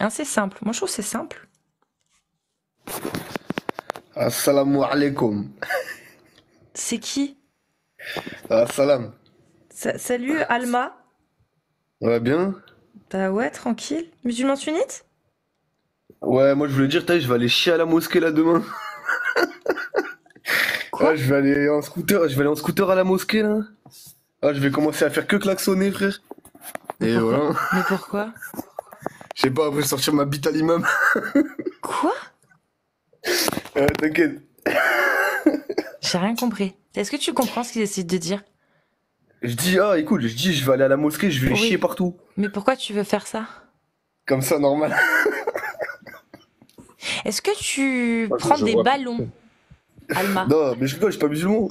Ah c'est simple. Moi, je trouve c'est simple. Assalamu alaikum. C'est qui Assalam. Ah, salut, Alma. va bien Bah ouais, tranquille. Musulman sunnite Ouais, moi je voulais dire, je vais aller chier à la mosquée là demain. je vais aller en scooter, je vais aller en scooter à la mosquée là. Ah, je vais commencer à faire que klaxonner, frère. Et voilà. Mais pourquoi Je pas, après sortir ma bite à l'imam. Quoi euh, T'inquiète. J'ai rien compris. Est-ce que tu comprends ce qu'il essaie de dire Je dis, ah, écoute, je dis, je vais aller à la mosquée, je vais chier partout. Mais pourquoi tu veux faire ça Comme ça, normal. Est-ce que tu prends des ballons Alma. Non, mais je je suis pas musulman.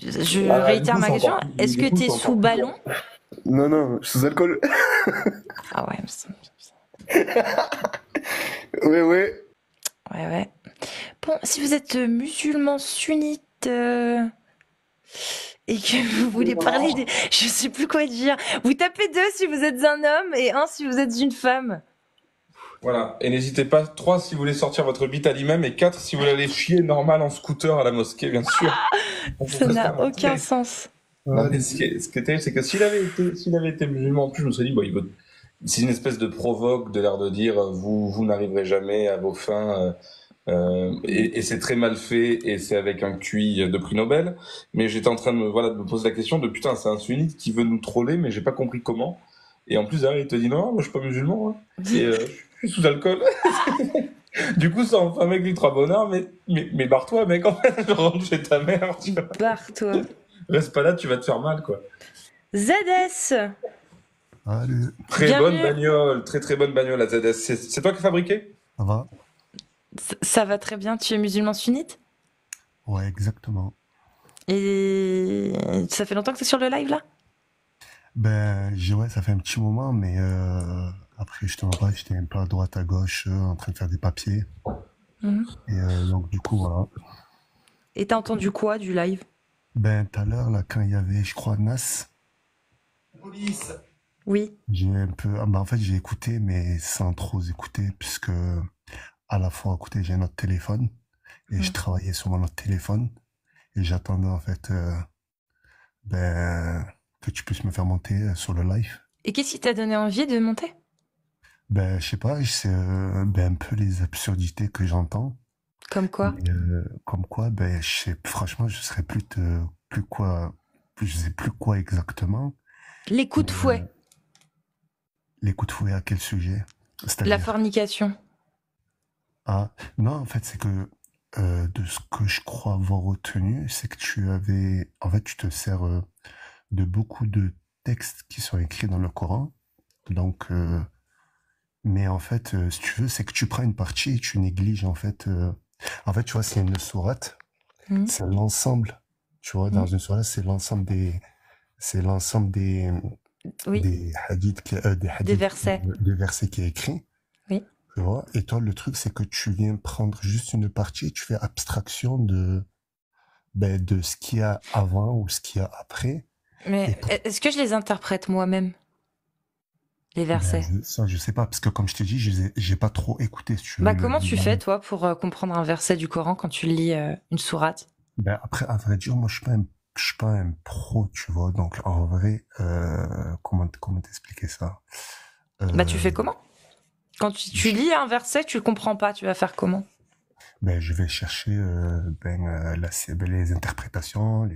Je ah, réitère ma question. Est-ce que tu es sous ballon Non, non, je suis sous alcool. ah ouais, mais Ouais, ouais. Ouais, ouais. Bon, si vous êtes musulman sunnite euh, et que vous voulez parler des... Je sais plus quoi dire. Vous tapez deux si vous êtes un homme et un si vous êtes une femme. Voilà. Et n'hésitez pas, 3 si vous voulez sortir votre bite à et 4 si vous voulez aller chier normal en scooter à la mosquée, bien sûr. ça n'a aucun sens. ce qui est, terrible, c'est que s'il avait été, s'il avait été musulman, en plus, je me serais dit, c'est une espèce de provoque de l'air de dire, euh, vous, vous n'arriverez jamais à vos fins, euh, euh, et, c'est très mal fait, et c'est avec un QI de prix Nobel. Mais j'étais en train de me, voilà, de me poser la question de putain, c'est un sunnite qui veut nous troller, mais j'ai pas compris comment. Et en plus, derrière, il te dit non, moi je suis pas musulman, hein. euh, je suis sous alcool. du coup, ça en fait un mec bonheur, mais, mais, barre-toi, mec, en fait, je rentre chez ta mère. Barre-toi. Reste pas là, tu vas te faire mal, quoi. ZS Très bonne bagnole, très très bonne bagnole, la ZS. C'est toi qui as fabriqué Ça va. ça va très bien, tu es musulman sunnite Ouais, exactement. Et ça fait longtemps que tu es sur le live là Ben ouais, ça fait un petit moment, mais euh, après justement j'étais un peu à droite à gauche euh, en train de faire des papiers. Mhm. Et euh, donc du coup voilà. Et t'as entendu quoi du live Ben tout à l'heure là quand il y avait je crois Nas. Police. Oui. J'ai un peu, ah, ben, en fait j'ai écouté mais sans trop écouter puisque à la fois écoutez j'ai notre téléphone et je travaillais sur mon téléphone et j'attendais en fait euh, ben, que tu puisses me faire monter euh, sur le live. Et qu'est-ce qui t'a donné envie de monter Ben je sais pas, c'est euh, ben, un peu les absurdités que j'entends. Comme quoi Comme quoi, ben je franchement je serais plus quoi, je sais plus quoi exactement. Les coups de fouet. Les coups de fouet à quel sujet La fornication. Ah, non, en fait, c'est que euh, de ce que je crois avoir retenu, c'est que tu avais. En fait, tu te sers euh, de beaucoup de textes qui sont écrits dans le Coran. Donc. Euh, mais en fait, si tu veux, c'est que tu prends une partie et tu négliges, en fait. En fait, tu vois, c'est une sourate. Hmm. C'est l'ensemble. Tu vois, dans hmm. une sourate, c'est l'ensemble des. C'est l'ensemble des, des hadiths, euh, des, versets. qui est écrit. vois et toi, le truc, c'est que tu viens prendre juste une partie et tu fais abstraction de, ben, de ce qu'il y a avant ou ce qu'il y a après. Mais est-ce que je les interprète moi-même les ben, versets. ça, je sais pas, parce que comme je t'ai dit, j'ai pas trop écouté. Bah, comment tu fais, toi, pour euh, comprendre un verset du Coran quand tu lis euh, une sourate ben, Après, à vrai dire, moi, je suis pas je suis pas un pro, tu vois. Donc en vrai, euh, comment comment t'expliquer ça euh, Bah tu fais comment Quand tu, lis un verset, tu le comprends pas, tu vas faire comment ben, je vais chercher euh, ben, les interprétations,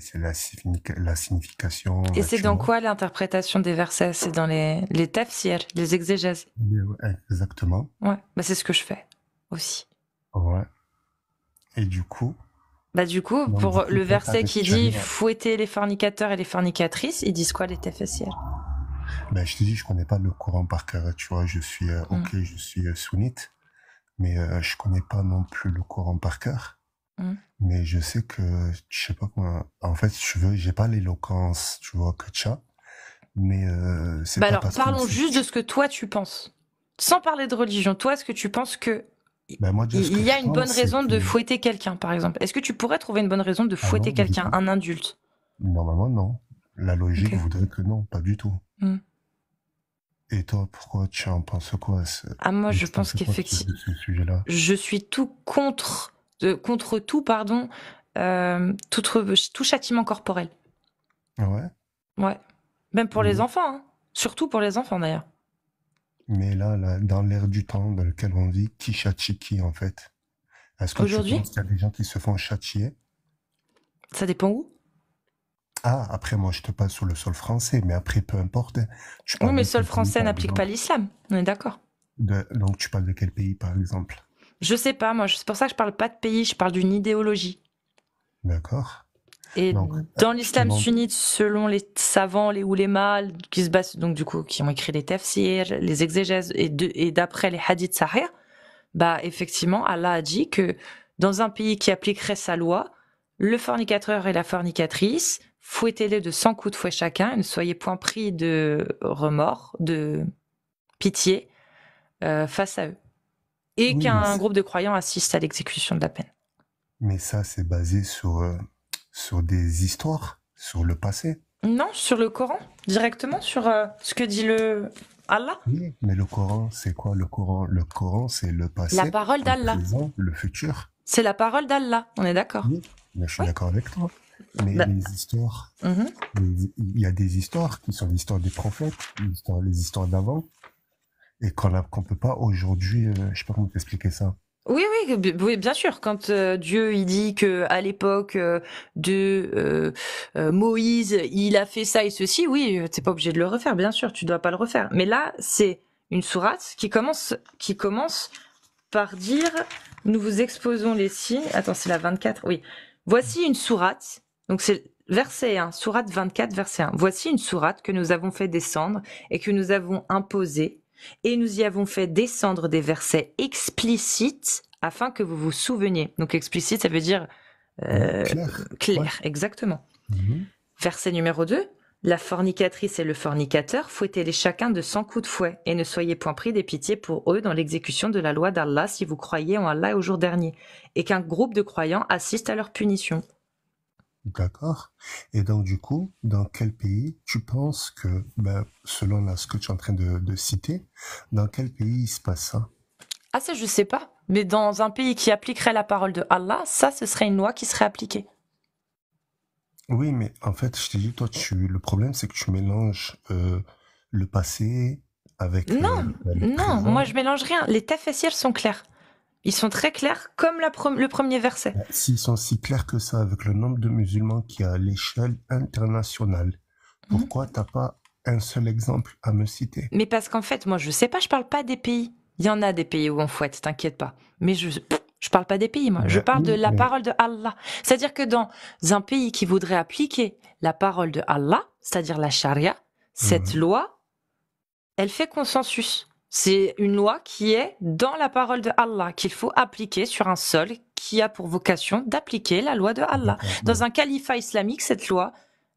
la, signification. Et c'est dans quoi l'interprétation des versets C'est dans les, les tafsirs, les exégèses ben, Exactement. Ouais, bah, c'est ce que je fais aussi. Ouais. Et du coup. Bah du coup, pour le verset qui dit fouetter les fornicateurs et les fornicatrices, ils disent quoi les TFSIL bah, je te dis, je connais pas le courant par cœur, tu vois, je suis, euh, mm. ok, je suis euh, sunnite, mais euh, je connais pas non plus le courant par cœur. Mm. Mais je sais que, je sais pas comment, en fait, je veux, j'ai pas l'éloquence, tu vois, que mais c'est bah, pas bah alors, parlons juste de ce que toi tu penses sans parler de religion, toi, est-ce que tu penses que bah, il y a une bonne raison de fouetter quelqu'un, par exemple Est-ce que tu pourrais trouver une bonne raison de ah fouetter quelqu'un, un adulte Normalement, non. La logique voudrait que non, pas du tout. Hmm. Et toi, pourquoi tu en penses quoi Ah moi, je pense qu'effectivement, je suis tout contre, contre tout, pardon, euh, tout, tout, châtiment corporel. Ah ouais. Ouais. Même pour les mhm. enfants, hein. surtout pour les enfants d'ailleurs. Mais là, dans l'ère du temps dans lequel on vit, qui châtie qui en fait Est-ce que Aujourd'hui tu y a des gens qui se font châtier Ça dépend où Ah, après moi je te passe sur le sol français, mais après peu importe. Tu hein. mais le sol français n'applique pas l'islam, on est d'accord. donc tu parles de quel pays par exemple Je sais pas, moi c'est pour ça que je parle pas de pays, je parle d'une idéologie. D'accord. Et dans l'islam sunnite, selon les savants, les ulémas qui se basent donc du coup, qui ont écrit les tafsirs, les exégèses, et, d'après les hadiths sahih, bah effectivement, Allah a dit que dans un pays qui appliquerait sa loi, le fornicateur et la fornicatrice, fouettez-les de 100 coups de fouet chacun, et ne soyez point pris de remords, de pitié euh, face à eux et qu'un groupe de croyants assiste à l'exécution de la peine. Mais ça, c'est basé sur, euh, sur des histoires, sur le passé. Non, sur le Coran, directement, sur euh, ce que dit le Allah. mais le Coran, c'est quoi le Coran Le Coran, c'est le passé. La parole d'Allah. Le futur. C'est la parole d'Allah, on est d'accord. Oui, je suis d'accord avec toi. Mais bah. les histoires, mhm. il y a des histoires qui sont l'histoire des prophètes, les histoires d'avant, et qu'on ne peut pas aujourd'hui, euh, je ne sais pas comment t'expliquer ça. Oui, oui, bien sûr. Quand euh, Dieu il dit que à l'époque euh, de Moïse, il a fait ça et ceci, oui, n'es pas obligé de le refaire, bien sûr, tu dois pas le refaire. Mais là, c'est une sourate qui commence, qui commence par dire, nous vous exposons les signes. Attends, c'est la 24. Oui, voici une sourate donc c'est verset 1, sourate 24, verset 1. Voici une sourate que nous avons fait descendre et que nous avons imposée, et nous y avons fait descendre des versets explicites afin que vous vous souveniez. Donc explicite, ça veut dire euh, clair, exactement. Mhm. Verset numéro 2. La fornicatrice et le fornicateur, fouettez-les chacun de cent coups de fouet, et ne soyez point pris des pitiés pour eux dans l'exécution de la loi d'Allah si vous croyez en Allah au jour dernier et qu'un groupe de croyants assiste à leur punition. D'accord. Et donc, du coup, dans quel pays tu penses que, ben, selon ce que tu es en train de, citer, dans quel pays il se passe ça Ah, ça, je ne sais pas. Mais dans un pays qui appliquerait la parole de Allah, ça, ce serait une loi qui serait appliquée. Oui, mais en fait, je t'ai dit, toi, tu, le problème, c'est que tu mélanges euh, le passé euh, non, non, moi je mélange rien. Les tas sont clairs. Ils sont très clairs, comme le premier verset. Euh, s'ils sont si clairs que ça, avec le nombre de musulmans qui a à l'échelle internationale, mhm. pourquoi tu t'as pas un seul exemple à me citer Mais parce qu'en fait, moi, je sais pas, je parle pas des pays. Il y en a des pays où on fouette, t'inquiète pas. Mais je je parle pas des pays, moi. Je parle de la parole de Allah. C'est-à-dire que dans un pays qui voudrait appliquer la parole de Allah, c'est-à-dire la charia, cette mhm. loi elle fait consensus. C'est une loi qui est dans la parole de Allah, qu'il faut appliquer sur un sol qui a pour vocation d'appliquer la loi de Allah. Dans un califat islamique, cette loi,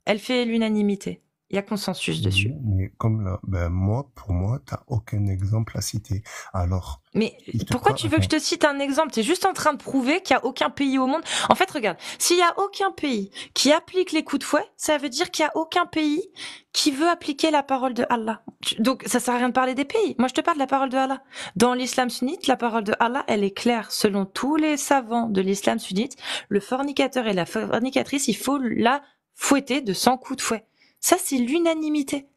elle fait l'unanimité. Il y a consensus dessus. Mais comme ben, moi, pour moi, tu n'as aucun exemple à citer. Alors. Mais pourquoi tu veux que je te cite un exemple Tu es juste en train de prouver qu'il n'y a aucun pays au monde. En fait, regarde, s'il n'y a aucun pays qui applique les coups de fouet, ça veut dire qu'il n'y a aucun pays qui veut appliquer la parole de Allah. Donc ça sert à rien de parler des pays. Moi je te parle de la parole de Allah. Dans l'islam sunnite, la parole de Allah, elle est claire. Selon tous les savants de l'islam sunnite, le fornicateur et la fornicatrice, il faut la fouetter de 100 coups de fouet. Ça c'est l'unanimité.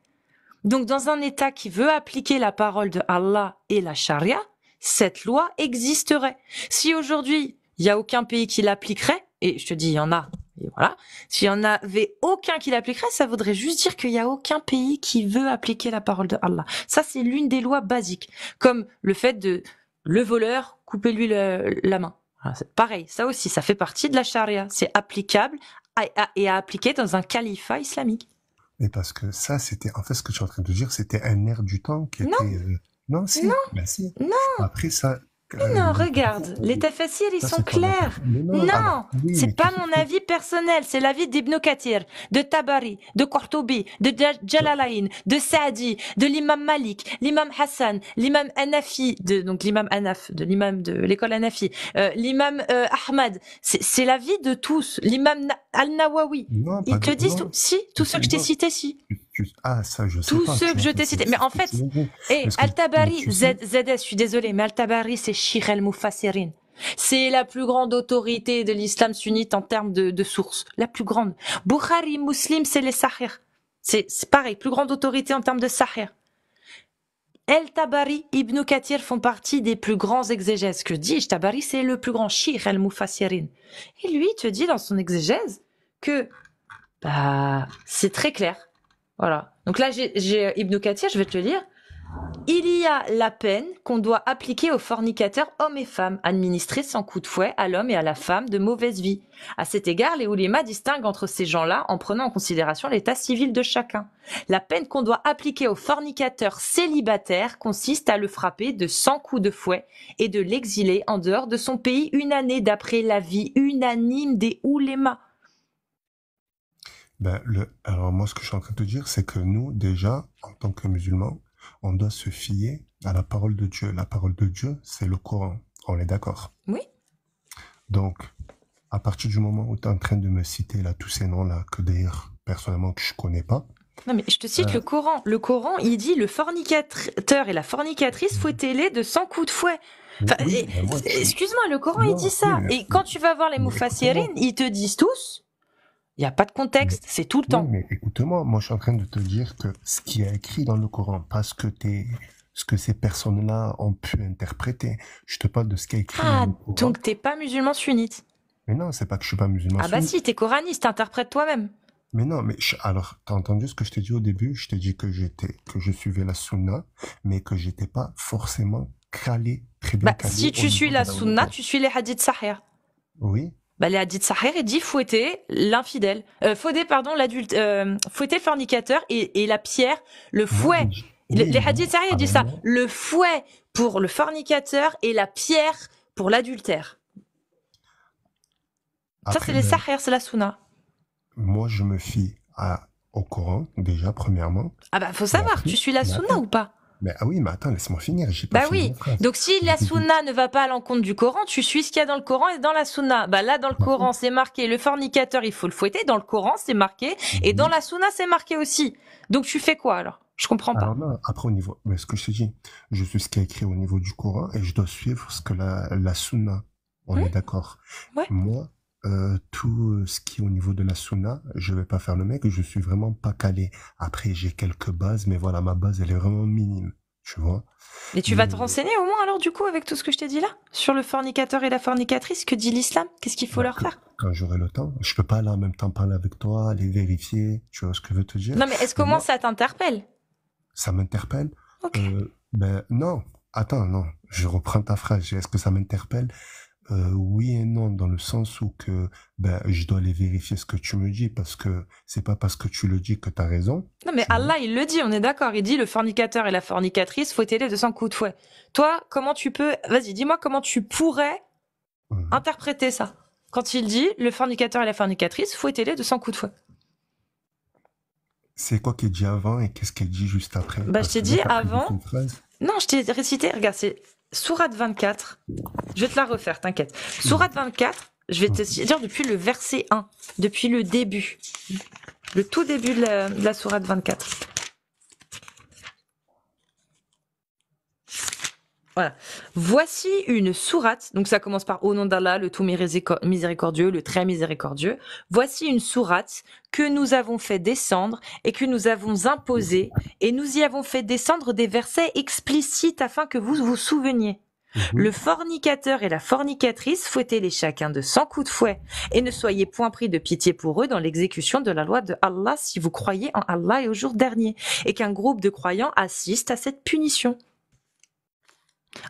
Donc dans un État qui veut appliquer la parole de Allah et la charia, cette loi existerait. Si aujourd'hui il y a aucun pays qui l'appliquerait, et je te dis, il y en a, et voilà. S'il y en avait aucun qui l'appliquerait, ça voudrait juste dire qu'il n'y a aucun pays qui veut appliquer la parole de Allah. Ça, c'est l'une des lois basiques, comme le fait de le voleur, couper lui la main. Pareil, ça aussi, ça fait partie de la charia. C'est applicable et à appliquer dans un califat islamique. Mais parce que ça, c'était en fait ce que je suis en train de dire, c'était un air du temps qui était euh, non, si. Non. Bah, non. ça. non, regarde, les tafassirs, ils sont clairs. Non, c'est pas mon avis personnel, c'est l'avis d'Ibn Kathir, de Tabari, de Qurtubi, de Jalalain, de Saadi, de l'imam Malik, l'imam Hassan, l'imam Anafi, de, donc l'imam Anaf, de l'imam de l'école Anafi, euh, l'imam euh, Ahmad. C'est l'avis de tous, l'imam Al-Nawawi. Ils te disent, si, tous ceux que je t'ai cités, si. Ah, ça, Tous ceux que je t'ai cités. Mais en fait, et tabari ZS, je suis désolé, mais Al-Tabari, c'est el mufassirin C'est la plus grande autorité de l'islam sunnite en termes de, source, sources. La plus grande. Bukhari, Muslim, c'est les Sahir. C'est pareil, plus grande autorité en termes de Sahir. El Tabari, Ibn Kathir font partie des plus grands exégèses. Que dis Tabari, c'est le plus grand shir, El Mufassirin. Et lui, te dit dans son exégèse, que bah, c'est très clair. Voilà. Donc là, j'ai euh, Ibn Kathir, je vais te le lire. Il y a la peine qu'on doit appliquer aux fornicateurs hommes et femmes, administrée sans coup de fouet à l'homme et à la femme de mauvaise vie. À cet égard, les ulema distinguent entre ces gens-là en prenant en considération l'état civil de chacun. La peine qu'on doit appliquer aux fornicateurs célibataires consiste à le frapper de 100 coups de fouet et de l'exiler en dehors de son pays une année d'après l'avis unanime des oulémas. Ben, le, alors moi, ce que je suis en train de te dire, c'est que nous, déjà, en tant que musulmans, on doit se fier à la parole de Dieu. La parole de Dieu, c'est le Coran. On est d'accord Oui. Donc, à partir du moment où tu es en train de me citer là, tous ces noms-là, que d'ailleurs, personnellement, je je connais pas, non, mais je te cite le Coran. Le Coran, il dit le fornicateur et la fornicatrice, fouettez-les de 100 coups de fouet. Excuse-moi, le Coran, il dit ça. et quand tu vas voir les Moufassirines, ils te disent tous il n'y a pas de contexte, c'est tout le temps. mais écoute-moi, moi je suis en train de te dire que ce qui est écrit dans le Coran, pas ce que, ce que ces personnes-là ont pu interpréter, je te parle de ce qui est écrit ah, dans le Coran. donc t'es pas musulman sunnite Mais non, c'est pas que je suis pas musulman ah bah sunnite. Ah bah si, es coraniste, interprète toi-même. Mais non, mais alors, t'as entendu ce que je t'ai dit au début Je t'ai dit que j'étais, que je suivais la sunna, mais que j'étais pas forcément crâlé. très bah, Si tu suis la, sunna, tu suis les hadiths sahir. Oui. Bah, les hadiths sahir, il dit fouetter l'infidèle, euh, fouetter pardon l'adulte, euh, fouetter fornicateur et, la pierre, le fouet. les hadiths sahir, il dit ça, le fouet pour le fornicateur et la pierre pour l'adultère ça, c'est les Sahirs, c'est la sunna. Moi, je me fie à, au Coran, déjà, premièrement. Ah bah, faut savoir, tu suis la sunna ou pas mais, ah oui, mais attends, laisse-moi finir. Pas bah oui. Donc si la sunna ne va pas à l'encontre du Coran, tu suis ce qu'il y a dans le Coran et dans la sunna. Bah là, dans le Coran, c'est marqué le fornicateur, il faut le fouetter. Dans le Coran, c'est marqué. Et dans mhm. la sunna, c'est marqué aussi. Donc tu fais quoi alors Je comprends pas. Alors, là, après, au niveau. Mais ce que je te dis, je suis ce qui est écrit au niveau du Coran et je dois suivre ce que la, la Sunna. On est d'accord. Moi, euh, tout ce qui est au niveau de la Sunna, je vais pas faire le mec, je suis vraiment pas calé. Après, j'ai quelques bases, mais voilà, ma base, elle est vraiment minime. Tu vois. Mais tu vas te euh, renseigner au moins alors du coup avec tout ce que je t'ai dit là sur le fornicateur et la fornicatrice que dit l'islam qu'est-ce qu'il faut bah, leur faire quand j'aurai le temps je peux pas là en même temps parler avec toi les vérifier tu vois ce que je veux te dire non mais est-ce qu'au moins ça t'interpelle ça m'interpelle. Euh, ben, non, attends, non, je reprends ta phrase. Est-ce que ça m'interpelle euh, Oui et non, dans le sens où que ben je dois aller vérifier ce que tu me dis parce que c'est pas parce que tu le dis que tu as raison. Non, mais Allah, il le dit, on est d'accord. Il dit le fornicateur et la fornicatrice, faut t'aider de son coups de fouet. Toi, comment tu peux Vas-y, dis-moi comment tu pourrais mhm. interpréter ça. Quand il dit le fornicateur et la fornicatrice, fouettez-les de 100 coups de fouet. C'est quoi qu'il dit avant et qu'est-ce qu'il dit juste après bah, Je t'ai dit avant. Non, je t'ai récité. Regarde, c'est Sourate 24. Je vais te la refaire, t'inquiète. Sourate 24, je vais te dire depuis le verset 1, depuis le début. Le tout début de la, de la Sourate 24. Voici une sourate. Donc ça commence par au nom d'Allah, le tout miséricordieux, le très miséricordieux. Voici une sourate que nous avons fait descendre et que nous avons imposée et nous y avons fait descendre des versets explicites afin que vous vous souveniez. Mhm. Le fornicateur et la fornicatrice, fouettez-les chacun de cent coups de fouet, et ne soyez point pris de pitié pour eux dans l'exécution de la loi de Allah si vous croyez en Allah et au jour dernier, et qu'un groupe de croyants assiste à cette punition.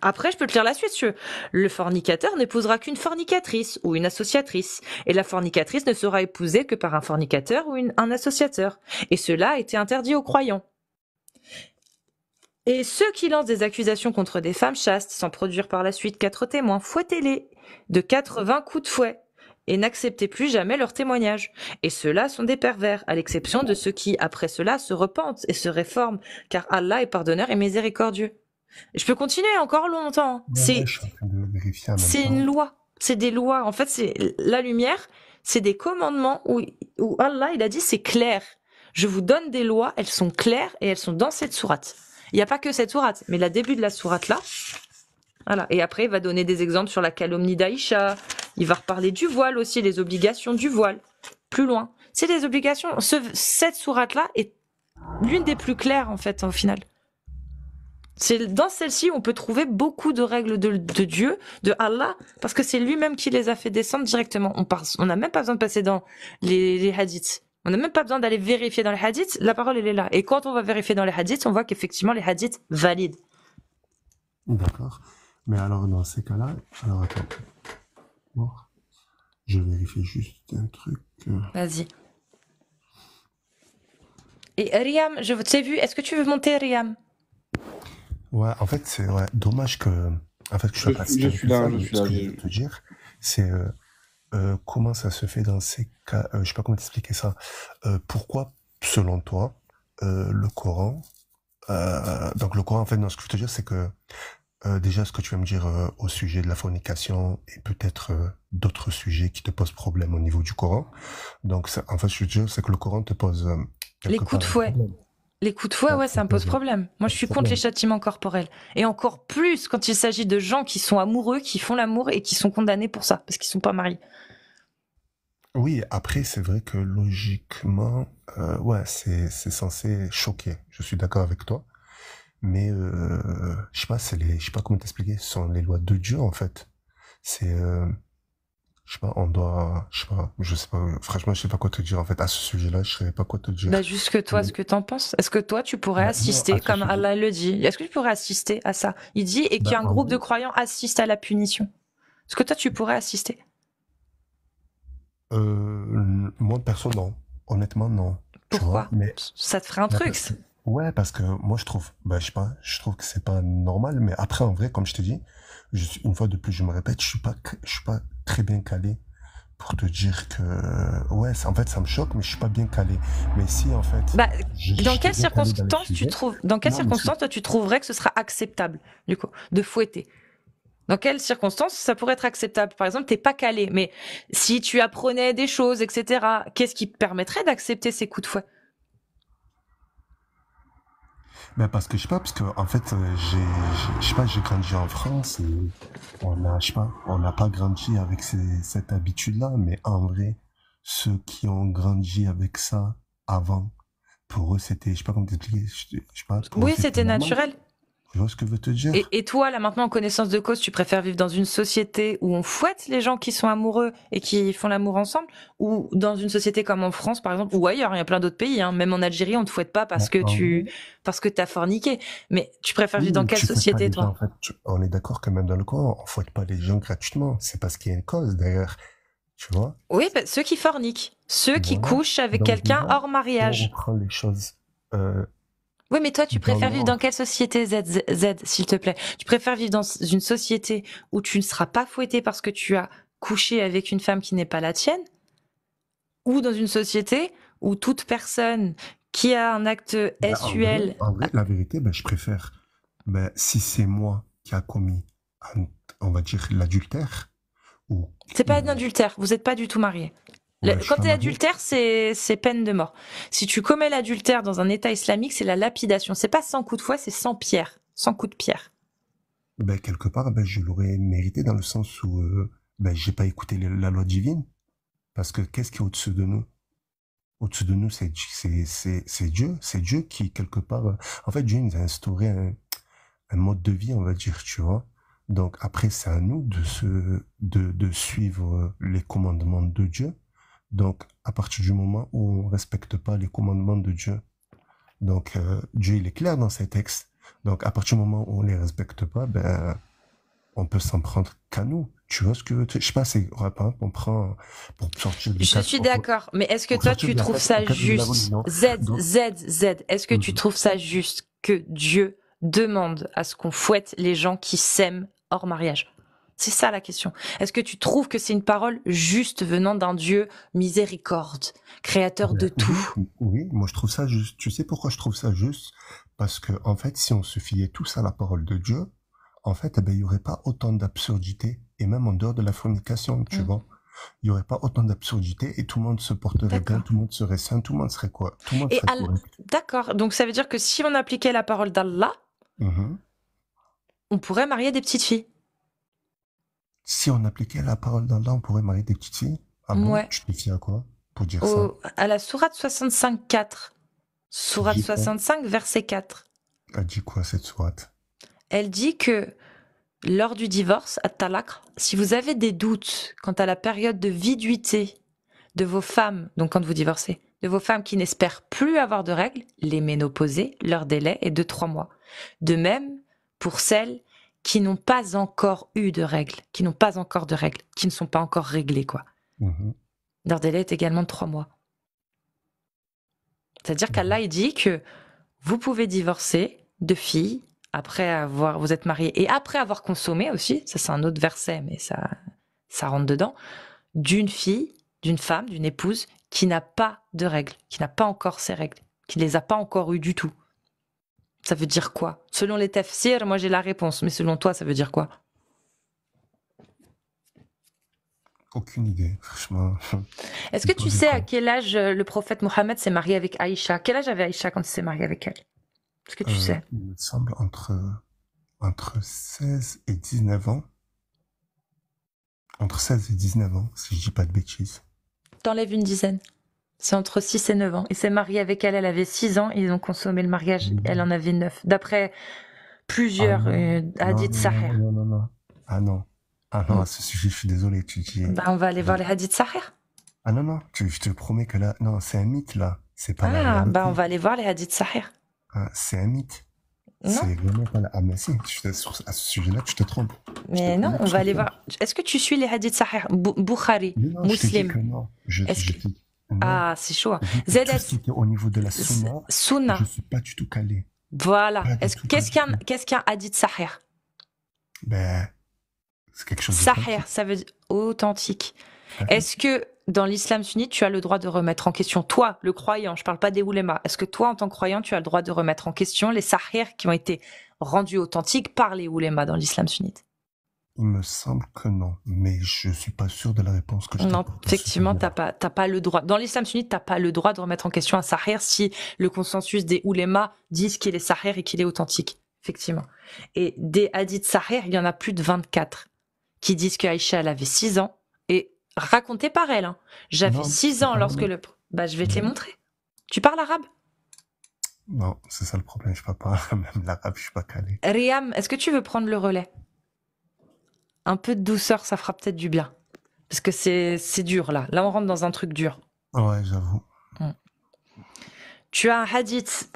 Après, je peux te lire la suite, Le fornicateur n'épousera qu'une fornicatrice ou une associatrice, et la fornicatrice ne sera épousée que par un fornicateur ou un associateur. Et cela a été interdit aux croyants. Et ceux qui lancent des accusations contre des femmes chastes, sans produire par la suite quatre témoins, fouettez-les de 80 coups de fouet et n'acceptez plus jamais leurs témoignages. Et ceux-là sont des pervers, à l'exception de ceux qui, après cela, se repentent et se réforment, car Allah est pardonneur et miséricordieux. Je peux continuer encore longtemps. C'est une loi, c'est des lois. En fait, c'est la lumière, c'est des commandements où, Allah il a dit c'est clair. Je vous donne des lois, elles sont claires et elles sont dans cette sourate. Il n'y a pas que cette sourate, mais le début de la sourate là. Voilà. Et après, il va donner des exemples sur la calomnie d'Aïcha. Il va reparler du voile aussi, les obligations du voile plus loin. C'est des obligations. cette sourate-là est l'une des plus claires, en fait, au final. C'est dans celle-ci on peut trouver beaucoup de règles de, Dieu, de Allah, parce que c'est lui-même qui les a fait descendre directement. On n'a même pas besoin de passer dans les, les hadiths. On n'a même pas besoin d'aller vérifier dans les hadiths, la parole elle est là. Et quand on va vérifier dans les hadiths, on voit qu'effectivement les hadiths valident. D'accord. Mais alors, dans ces cas-là, alors attends. Bon. Je vérifie juste un truc. Euh. Vas-y. Et Riam, je t'ai vu. Est-ce que tu veux monter, Riam Ouais, en fait, c'est ouais, dommage que. En fait, je, pas suis, là, Ce que je veux te dire, c'est euh, euh, comment ça se fait dans ces cas. je ne sais pas comment t'expliquer ça. pourquoi, selon toi, le Coran euh, euh, donc le Coran, euh, en fait, ce que je veux te dire, c'est que déjà ce que tu vas me dire au sujet de la fornication et peut-être d'autres sujets qui te posent problème au niveau du Coran. Donc en fait, je veux dire, c'est que le Coran te pose les coups de fouet. Les coups de fouet, ouais, ça me pose problème. Moi, je suis contre les châtiments corporels. Et encore plus quand il s'agit de gens qui sont amoureux, qui font l'amour et qui sont condamnés pour ça, parce qu'ils sont pas mariés. Oui, après, c'est vrai que logiquement, euh, ouais, c'est, c'est censé choquer. Je suis d'accord avec toi. Mais euh, je sais pas, je sais pas comment t'expliquer, ce sont les lois de Dieu en fait. C'est, euh, je sais pas, on doit, je sais pas, je sais pas, franchement, je sais pas quoi te dire en fait à ce sujet-là, je sais pas quoi te dire. Bah, juste que toi, ce que t'en penses, est-ce que toi, tu pourrais bah, assister, comme Allah le dit, est-ce que tu pourrais assister à ça Il dit et bah, qu'un groupe de croyants assiste à la punition. Est-ce que toi, tu pourrais assister euh, Moi, perso, non. Honnêtement, non. Pourquoi mais... Ça te ferait un truc Ouais, parce que moi, je trouve, bah, je pas, je trouve que c'est pas normal, mais après, en vrai, comme je te dis, une fois de plus, je me répète, je suis pas, je suis pas très bien calé pour te dire que, ouais, en fait, ça me choque, mais je suis pas bien calé. Mais si, en fait. Bah, dans quelles circonstances tu trouves, dans quelles circonstances, toi, tu trouverais que ce sera acceptable, du coup, de fouetter? Dans quelles circonstances ça pourrait être acceptable Par exemple, t'es pas calé, mais si tu apprenais des choses, etc., qu'est-ce qui permettrait d'accepter ces coups de fouet ben parce que je sais pas, parce qu'en fait, euh, j'ai, je sais pas, j'ai grandi en France on n'a pas grandi avec cette habitude-là, mais en vrai, ceux qui ont grandi avec ça, avant, pour eux, c'était, je sais pas comment t'expliquer, je, sais pas. Oui, c'était naturel. Je vois ce que je veux te dire. Et, toi, là maintenant, en connaissance de cause, tu préfères vivre dans une société où on fouette les gens qui sont amoureux et qui font l'amour ensemble, ou dans une société comme en France, par exemple, ou ailleurs, il y a plein d'autres pays, hein. même en Algérie, on te fouette pas parce que bah, tu as parce que forniqué. Mais tu préfères vivre dans quelle société, toi en fait, On est d'accord que même dans le coin, on fouette pas les gens gratuitement. C'est parce qu'il y a une cause d'ailleurs. Oui, bah, ceux qui forniquent, ceux qui couchent avec quelqu'un hors mariage. les choses. Euh, oui, mais toi, tu préfères vivre dans quelle société, Z, Z s'il te plaît Tu préfères vivre dans une société où tu ne seras pas fouetté parce que tu as couché avec une femme qui n'est pas la tienne Ou dans une société où toute personne qui a un acte bah, SUL. En vrai, la vérité, bah, je préfère. si c'est moi qui a commis on va dire, l'adultère. Ou... C'est pas un adultère, vous n'êtes pas du tout marié. quand tu es adultère, c'est peine de mort. Si tu commets l'adultère dans un état islamique, c'est la lapidation. C'est pas sans coup de foi, c'est sans pierre, sans coups de pierre. Ben, quelque part, ben, je l'aurais mérité dans le sens où je euh, ben, j'ai pas écouté la loi divine. Parce que qu'est-ce qui est au-dessus de nous Au-dessus de nous, c'est Dieu. C'est Dieu qui, quelque part... Euh, en fait, Dieu nous a instauré un, un mode de vie, on va dire, tu vois. Donc après, c'est à nous de, se, de, suivre les commandements de Dieu. Donc à partir du moment où on ne respecte pas les commandements de Dieu, donc euh, Dieu il est clair dans ses textes. Donc à partir du moment où on les respecte pas, ben on peut s'en prendre qu'à nous. Tu vois ce que je sais pas, c'est rapport hein, on prend pour sortir Je suis d'accord, mais est-ce que toi tu trouves ça juste Z Z Z. Est-ce que tu mhm. trouves ça juste que Dieu demande à ce qu'on fouette les gens qui s'aiment hors mariage C'est ça la question. Est-ce que tu trouves que c'est une parole juste venant d'un Dieu miséricorde, créateur de euh, tout oui, moi je trouve ça juste. Tu sais pourquoi je trouve ça juste Parce que en fait, si on se fiait tous à la parole de Dieu, en fait, eh ben, il n'y aurait pas autant d'absurdité, et même en dehors de la fornication, tu mm. vois il n'y aurait pas autant d'absurdité et tout le monde se porterait bien, tout le monde serait sain, tout le monde serait quoi Tout le monde serait D'accord. Donc ça veut dire que si on appliquait la parole d'Allah, mhm. on pourrait marier des petites filles. Si on appliquait la parole d'Allah, on pourrait marier des petites filles Ah bon à quoi pour dire ça À la sourate 4 Sourate 65, verset 4. Elle dit quoi cette sourate Elle dit que lors du divorce, à Talakr, si vous avez des doutes quant à la période de viduité de vos femmes, donc quand vous divorcez, de vos femmes qui n'espèrent plus avoir de règles, les ménoposées, leur délai est de trois mois. De même pour celles qui n'ont pas encore eu de règles, qui n'ont pas encore de règles, qui ne sont pas encore réglées, quoi. Mhm. Leur délai est également de trois mois. C'est-à-dire qu'Allah, dit que vous pouvez divorcer de filles après avoir vous êtes marié et après avoir consommé aussi, ça c'est un autre verset mais ça ça rentre dedans d'une fille, d'une femme, d'une épouse qui n'a pas de règles, qui n'a pas encore ses règles, qui ne les a pas encore eues du tout. Ça veut dire quoi Selon les Tefsiers, moi j'ai la réponse, mais selon toi, ça veut dire quoi Aucune idée, franchement. Est-ce que tu sais à quel âge euh, le prophète Mohammed s'est marié avec Aïcha Quel âge avait Aïcha quand il s'est marié avec elle Est-ce que tu euh, sais Il me semble entre, entre 16 et 19 ans. Entre 16 et 19 ans, si je dis pas de bêtises. T'enlèves une dizaine. C'est entre 6 et 9 ans. Il s'est marié avec elle, elle avait 6 ans, ils ont consommé le mariage, mm-hmm. elle en avait 9. D'après plusieurs ah euh, non, non, non, Ah non, ah non, à hmm. ce sujet, je suis désolé, tu dis. Bah, on va aller voir les hadiths Sahir. Ah non, non, je te promets que là, non, c'est un mythe là. C'est pas ah, bah on va aller voir les hadiths Sahir. Ah, c'est un mythe C'est vraiment pas la... Ah, mais si, à ce sujet-là, tu te trompes. Mais non, on va aller voir. Est-ce que tu suis les hadiths Sahir Bukhari, non, Muslim que non. Je, que... Ah, c'est chaud. Zed... Au niveau de la sunna, je je suis pas du tout calé. Voilà. Qu'est-ce qu'un hadith Sahir ben, c'est quelque chose. Sahir, ça veut dire authentique. Est-ce que dans l'islam sunnite, tu as le droit de remettre en question, toi, le croyant, je parle pas des oulémas, est-ce que toi, en tant que croyant, tu as le droit de remettre en question les sahirs qui ont été rendus authentiques par les oulémas dans l'islam sunnite il me semble que non, mais je suis pas sûr de la réponse que je Non, effectivement, pas, pas le droit. Dans l'islam sunnite, t'as pas le droit de remettre en question un sahir si le consensus des oulémas disent qu'il est sahir et qu'il est authentique, effectivement. Et des hadiths sahir, il y en a plus de 24 qui disent que Aïcha, elle avait 6 ans et raconté par elle. Hein. J'avais 6 ans lorsque le. Bah, je vais te les montrer. Tu parles arabe Non, c'est ça le problème, je ne parle pas même l'arabe, je suis pas calé. Riam, est-ce que tu veux prendre le relais Un peu de douceur, ça fera peut-être du bien. Parce que c'est dur là. Là, on rentre dans un truc dur. Ouais, j'avoue. Mm. Tu as un hadith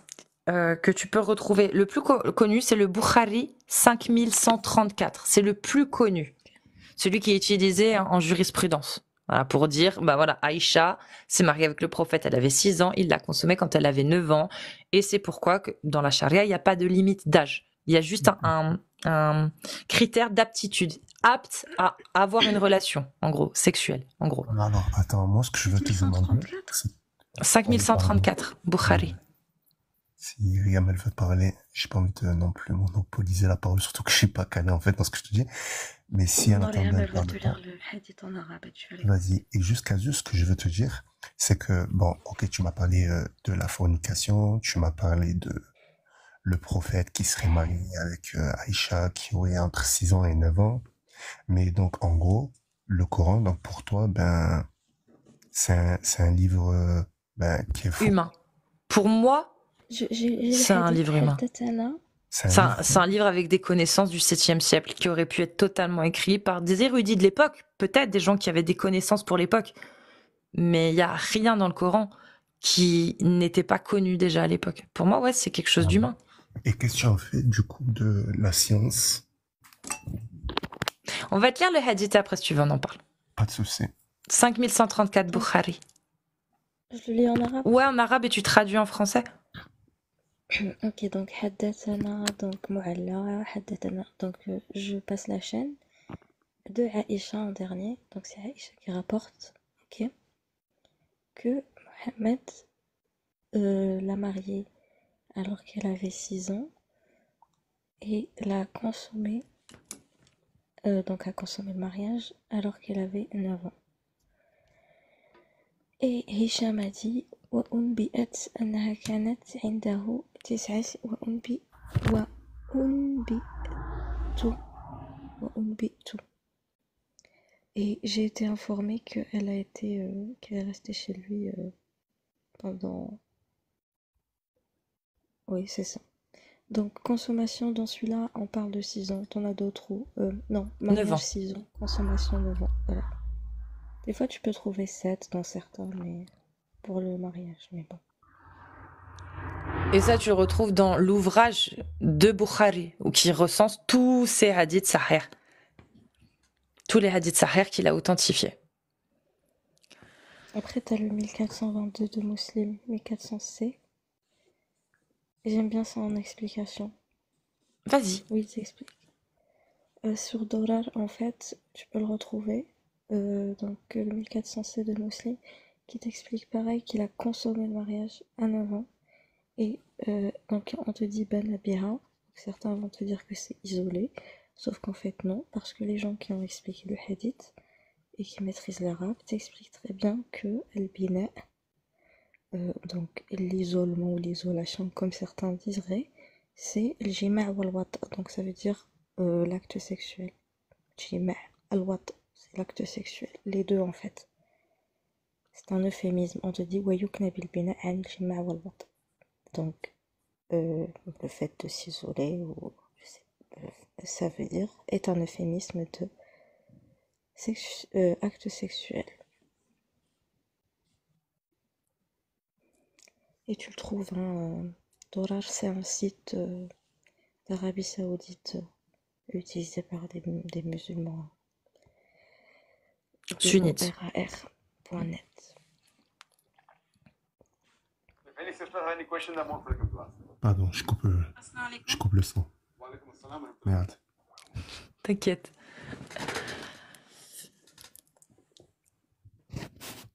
euh, que tu peux retrouver. Le plus connu, c'est le Bukhari 5134. C'est le plus connu. Celui qui est utilisé en jurisprudence. pour dire, bah voilà, Aïcha s'est mariée avec le prophète, elle avait 6 ans, il l'a consommée quand elle avait 9 ans. Et c'est pourquoi que dans la charia, il n'y a pas de limite d'âge. Il y a juste un critère d'aptitude apte à avoir une relation, en gros, sexuelle, en gros. Non, non, attends, moi, ce que je veux te demander. 5134, Bukhari. Si Riamel veut parler, j'ai pas envie de non plus monopoliser la parole, surtout que je suis pas calé, en fait, dans ce que je te dis. Mais si en arabe, Vas-y. Et jusqu'à juste, ce que je veux te dire, c'est que, bon, ok, tu m'as parlé euh, de la fornication, tu m'as parlé de le prophète qui serait marié avec euh, Aïcha qui aurait entre 6 ans et 9 ans. Mais donc en gros, le Coran, donc pour toi, ben, c'est un, livre euh, ben, qui est humain. Pour moi, c'est un livre humain. C'est un, un, livre avec des connaissances du 7e siècle qui aurait pu être totalement écrit par des érudits de l'époque, peut-être des gens qui avaient des connaissances pour l'époque. Mais il n'y a rien dans le Coran qui n'était pas connu déjà à l'époque. Pour moi, ouais, c'est quelque chose ah d'humain. Bah. Et qu'est-ce que tu as fait du coup de la science On va te lire le hadith après si tu veux, on en parle. Pas de souci. 5134 Bukhari. Je le lis en arabe Ouais, en arabe et tu traduis en français. Euh, ok, donc hadithana, donc mu'alla, hadithana, Donc euh, je passe la chaîne de Aïcha en dernier. Donc c'est Aïcha qui rapporte. Ok que Mohamed euh, l'a mariée alors qu'elle avait 6 ans et l'a consommée, euh, donc a consommé le mariage alors qu'elle avait 9 ans. Et Hisham a dit وأنبئت أنها كانت عنده تسعة وأنبئ وأنبئت et j'ai été informée qu'elle a été, euh, qu'elle est restée chez lui euh, pendant. Oui, c'est ça. Donc, consommation dans celui-là, on parle de 6 ans. T'en as d'autres où euh, Non, 9 6 ans. Consommation 9 ans. Des fois, tu peux trouver 7 dans certains, mais pour le mariage, mais bon. Et ça, tu le retrouves dans l'ouvrage de Bukhari, qui recense tous ces hadiths sahirs, Tous les hadiths sahirs qu'il a authentifiés. Après, tu as le 1422 de Muslim, 1400C. J'aime bien ça en explication. Vas-y. Oui, il s'explique euh, sur Dorar, en fait, tu peux le retrouver. Euh, donc, euh, le 1400C de Muslim qui t'explique pareil qu'il a consommé le mariage à 9 ans. Et euh, donc on te dit Ben Abira. Certains vont te dire que c'est isolé, sauf qu'en fait non, parce que les gens qui ont expliqué le hadith et qui maîtrisent l'arabe t'expliquent très bien que al euh, donc l'isolement ou l'isolation comme certains disent c'est le jima' wal donc ça veut dire euh, l'acte sexuel c'est l'acte sexuel. Les deux, en fait. C'est un euphémisme. On te dit, donc, euh, le fait de s'isoler, ou je sais, euh, ça veut dire, est un euphémisme de euh, acte sexuel. Et tu le trouves, un hein, c'est un site d'Arabie Saoudite utilisé par des, musulmans sunnites. RAR.net. Pardon, je coupe, euh, je coupe le son. Merde. T'inquiète.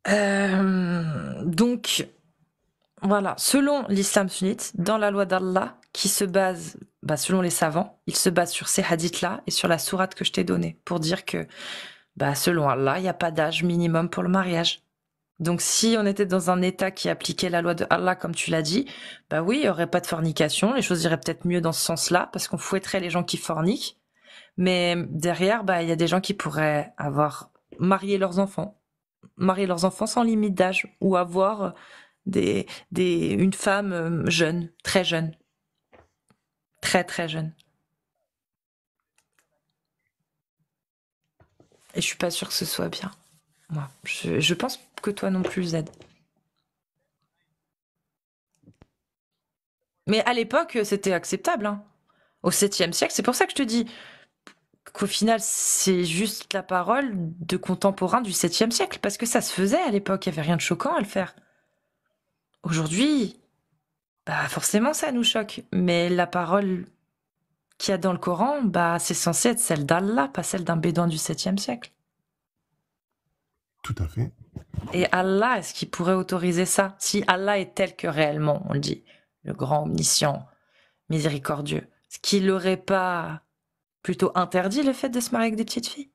Euh, donc, voilà, selon l'islam sunnite, dans la loi d'Allah, qui se base, bah, selon les savants, il se base sur ces hadiths-là et sur la sourate que je t'ai donnée, pour dire que, bah, selon Allah, il n'y a pas d'âge minimum pour le mariage. Donc si on était dans un État qui appliquait la loi de Allah, comme tu l'as dit, bah oui, il n'y aurait pas de fornication, les choses iraient peut-être mieux dans ce sens-là, parce qu'on fouetterait les gens qui forniquent, mais derrière, bah, il y a des gens qui pourraient avoir marié leurs enfants, marier leurs enfants sans limite d'âge ou avoir des, des, une femme euh, jeune, très jeune. Très très jeune. Et je suis pas sûre que ce soit bien. Moi, je, pense que toi non plus, Z. Mais à l'époque, c'était acceptable. Hein. Au 7e siècle, c'est pour ça que je te dis, qu'au final, c'est juste la parole de contemporains du 7e siècle, parce que ça se faisait à l'époque, il n'y avait rien de choquant à le faire. Aujourd'hui, bah forcément, ça nous choque, mais la parole qu'il y a dans le Coran, bah c'est censé être celle d'Allah, pas celle d'un bédouin du 7e siècle. Tout à fait. Et Allah, est-ce qu'il pourrait autoriser ça Si Allah est tel que réellement, on le dit, le grand omniscient, miséricordieux, ce qu'il n'aurait pas plutôt interdit le fait de se marier avec des petites filles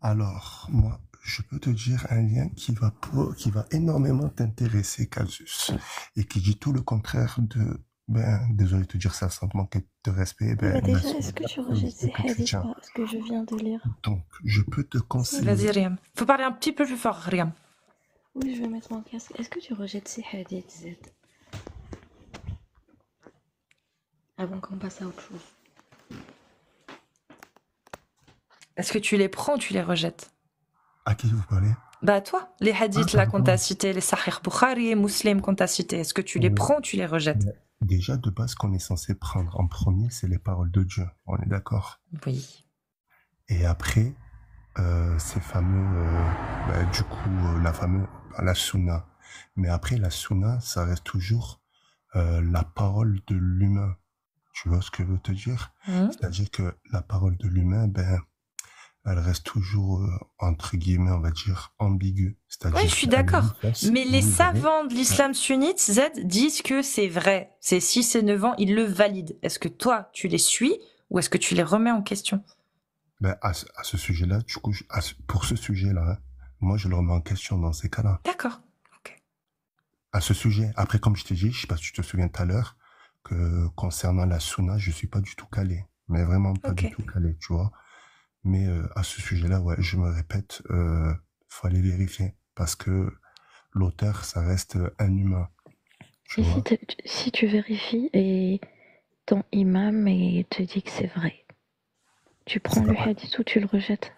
Alors, moi, je peux te dire un lien qui va, qui va énormément t'intéresser, Casus, et qui dit tout le contraire de. Ben, désolé de te dire ça sans te manquer de respect. Ben, déjà, est-ce que tu rejettes ce que je viens de lire Donc, je peux te conseiller. Vas-y, Riam. Faut parler un petit peu plus fort, Riam. Oui, je vais mettre mon casque. Est-ce que tu rejettes ces hadiths, Z Avant qu'on passe à autre chose. Est-ce que tu les prends ou tu les rejettes À qui vous parlez Bah à toi, les hadiths ah, là qu'on t'a cités, les sahir Bukhari et Muslim qu'on t'a cités, est-ce que tu les prends ou tu les rejettes Déjà, de base, ce qu'on est censé prendre en premier, c'est les paroles de Dieu. On est d'accord Oui. Et après, euh, ces fameux, euh, bah, du coup, euh, la fameuse, bah, la sunna. Mais après, la sunna, ça reste toujours la parole de l'humain. Tu vois ce que je veux te dire mmh. C'est-à-dire que la parole de l'humain, ben, elle reste toujours, entre guillemets, on va dire, ambiguë. Oui, je suis d'accord. Mais les savants de l'islam sunnite, Z, disent que c'est vrai. C'est 6 et 9 ans, ils le valident. Est-ce que toi, tu les suis ou est-ce que tu les remets en question ben, à, ce, sujet-là, pour ce sujet-là, hein, moi, je le remets en question dans ces cas-là. D'accord. À ce sujet, après, comme je t'ai dis, je ne sais pas si tu te souviens tout à l'heure, que concernant la Suna, je ne suis pas du tout calé. Mais vraiment pas du tout calé, tu vois. Mais euh, à ce sujet-là, ouais, je me répète, il euh, faut aller vérifier. Parce que l'auteur, ça reste un humain si, tu vérifies et ton imam et te dit que c'est vrai, tu prends le hadith ou tu le rejettes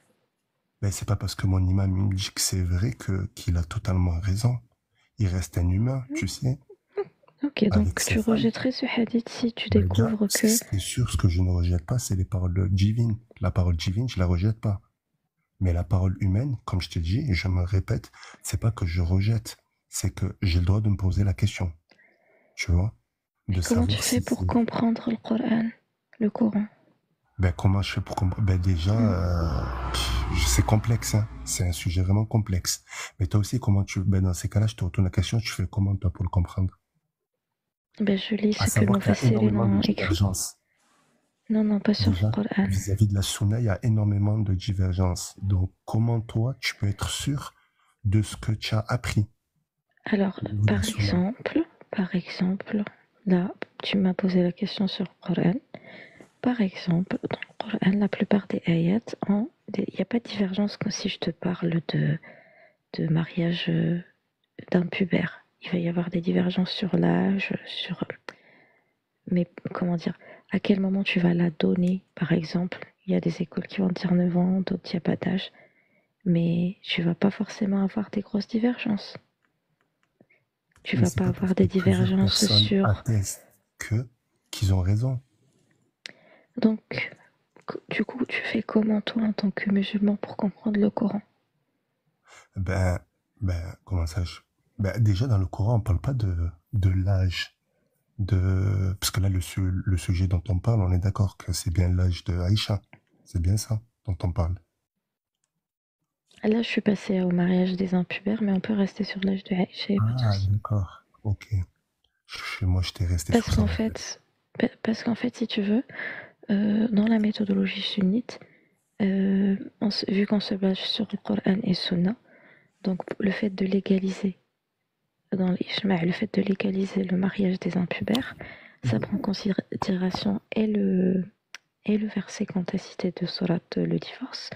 Mais ben, c'est pas parce que mon imam me dit que c'est vrai que qu'il a totalement raison. Il reste un humain, tu hmm. sais. Hmm. Ok, donc tu rejetterais ce hadith si tu ben, découvres que. C'est sûr, ce que je ne rejette pas, c'est les paroles divines. La parole divine, je la rejette pas. Mais la parole humaine, comme je te dis, et je me répète, c'est pas que je rejette, c'est que j'ai le droit de me poser la question. Tu vois de Comment tu fais pour comprendre le Coran Le Coran ben, Comment je fais pour comprendre ben, Déjà, hmm. euh, c'est complexe. Hein. c'est un sujet vraiment complexe. Mais toi aussi, comment tu. Ben, dans ces cas-là, je te retourne la question. Tu fais comment, toi, pour le comprendre Je lis ce que Non, non, pas sur le Coran. Vis-à-vis de la Sunna, il y a énormément de divergences. Donc, comment toi, tu peux être sûr de ce que tu as appris Alors, par exemple, par exemple, là, tu m'as posé la question sur Coran. Par exemple, dans Coran, la plupart des ayats, il n'y a pas de divergence comme si je te parle de, de mariage euh, d'un pubère. Il va y avoir des divergences sur l'âge, sur mais comment dire, à quel moment tu vas la donner, par exemple. Il y a des écoles qui vont dire 9 ans, d'autres qui n'y pas d'âge, mais tu vas pas forcément avoir des grosses divergences. Tu vas pas avoir des divergences sur... que qu'ils ont raison. Donc, du coup, tu fais comment toi en tant que musulman pour comprendre le Coran Ben, ben comment ça ben, Déjà dans le Coran, on ne parle pas de, de l'âge. Parce que là, le, sujet dont on parle, on est d'accord que c'est bien l'âge de Aïcha. C'est bien ça dont on parle. Ah, là, je suis passée au mariage des impubères, mais on peut rester sur l'âge de Aïcha. Ah, d'accord. Ok. Moi, je t'ai resté parce qu'en fait, Parce qu'en fait, si tu veux, euh, dans la méthodologie sunnite, euh, vu qu'on se base sur le Coran et Sunna, donc le fait de légaliser, dans le fait de légaliser le mariage des impubères, ça prend en considération et le, et le verset quant à cité de Surat, le divorce,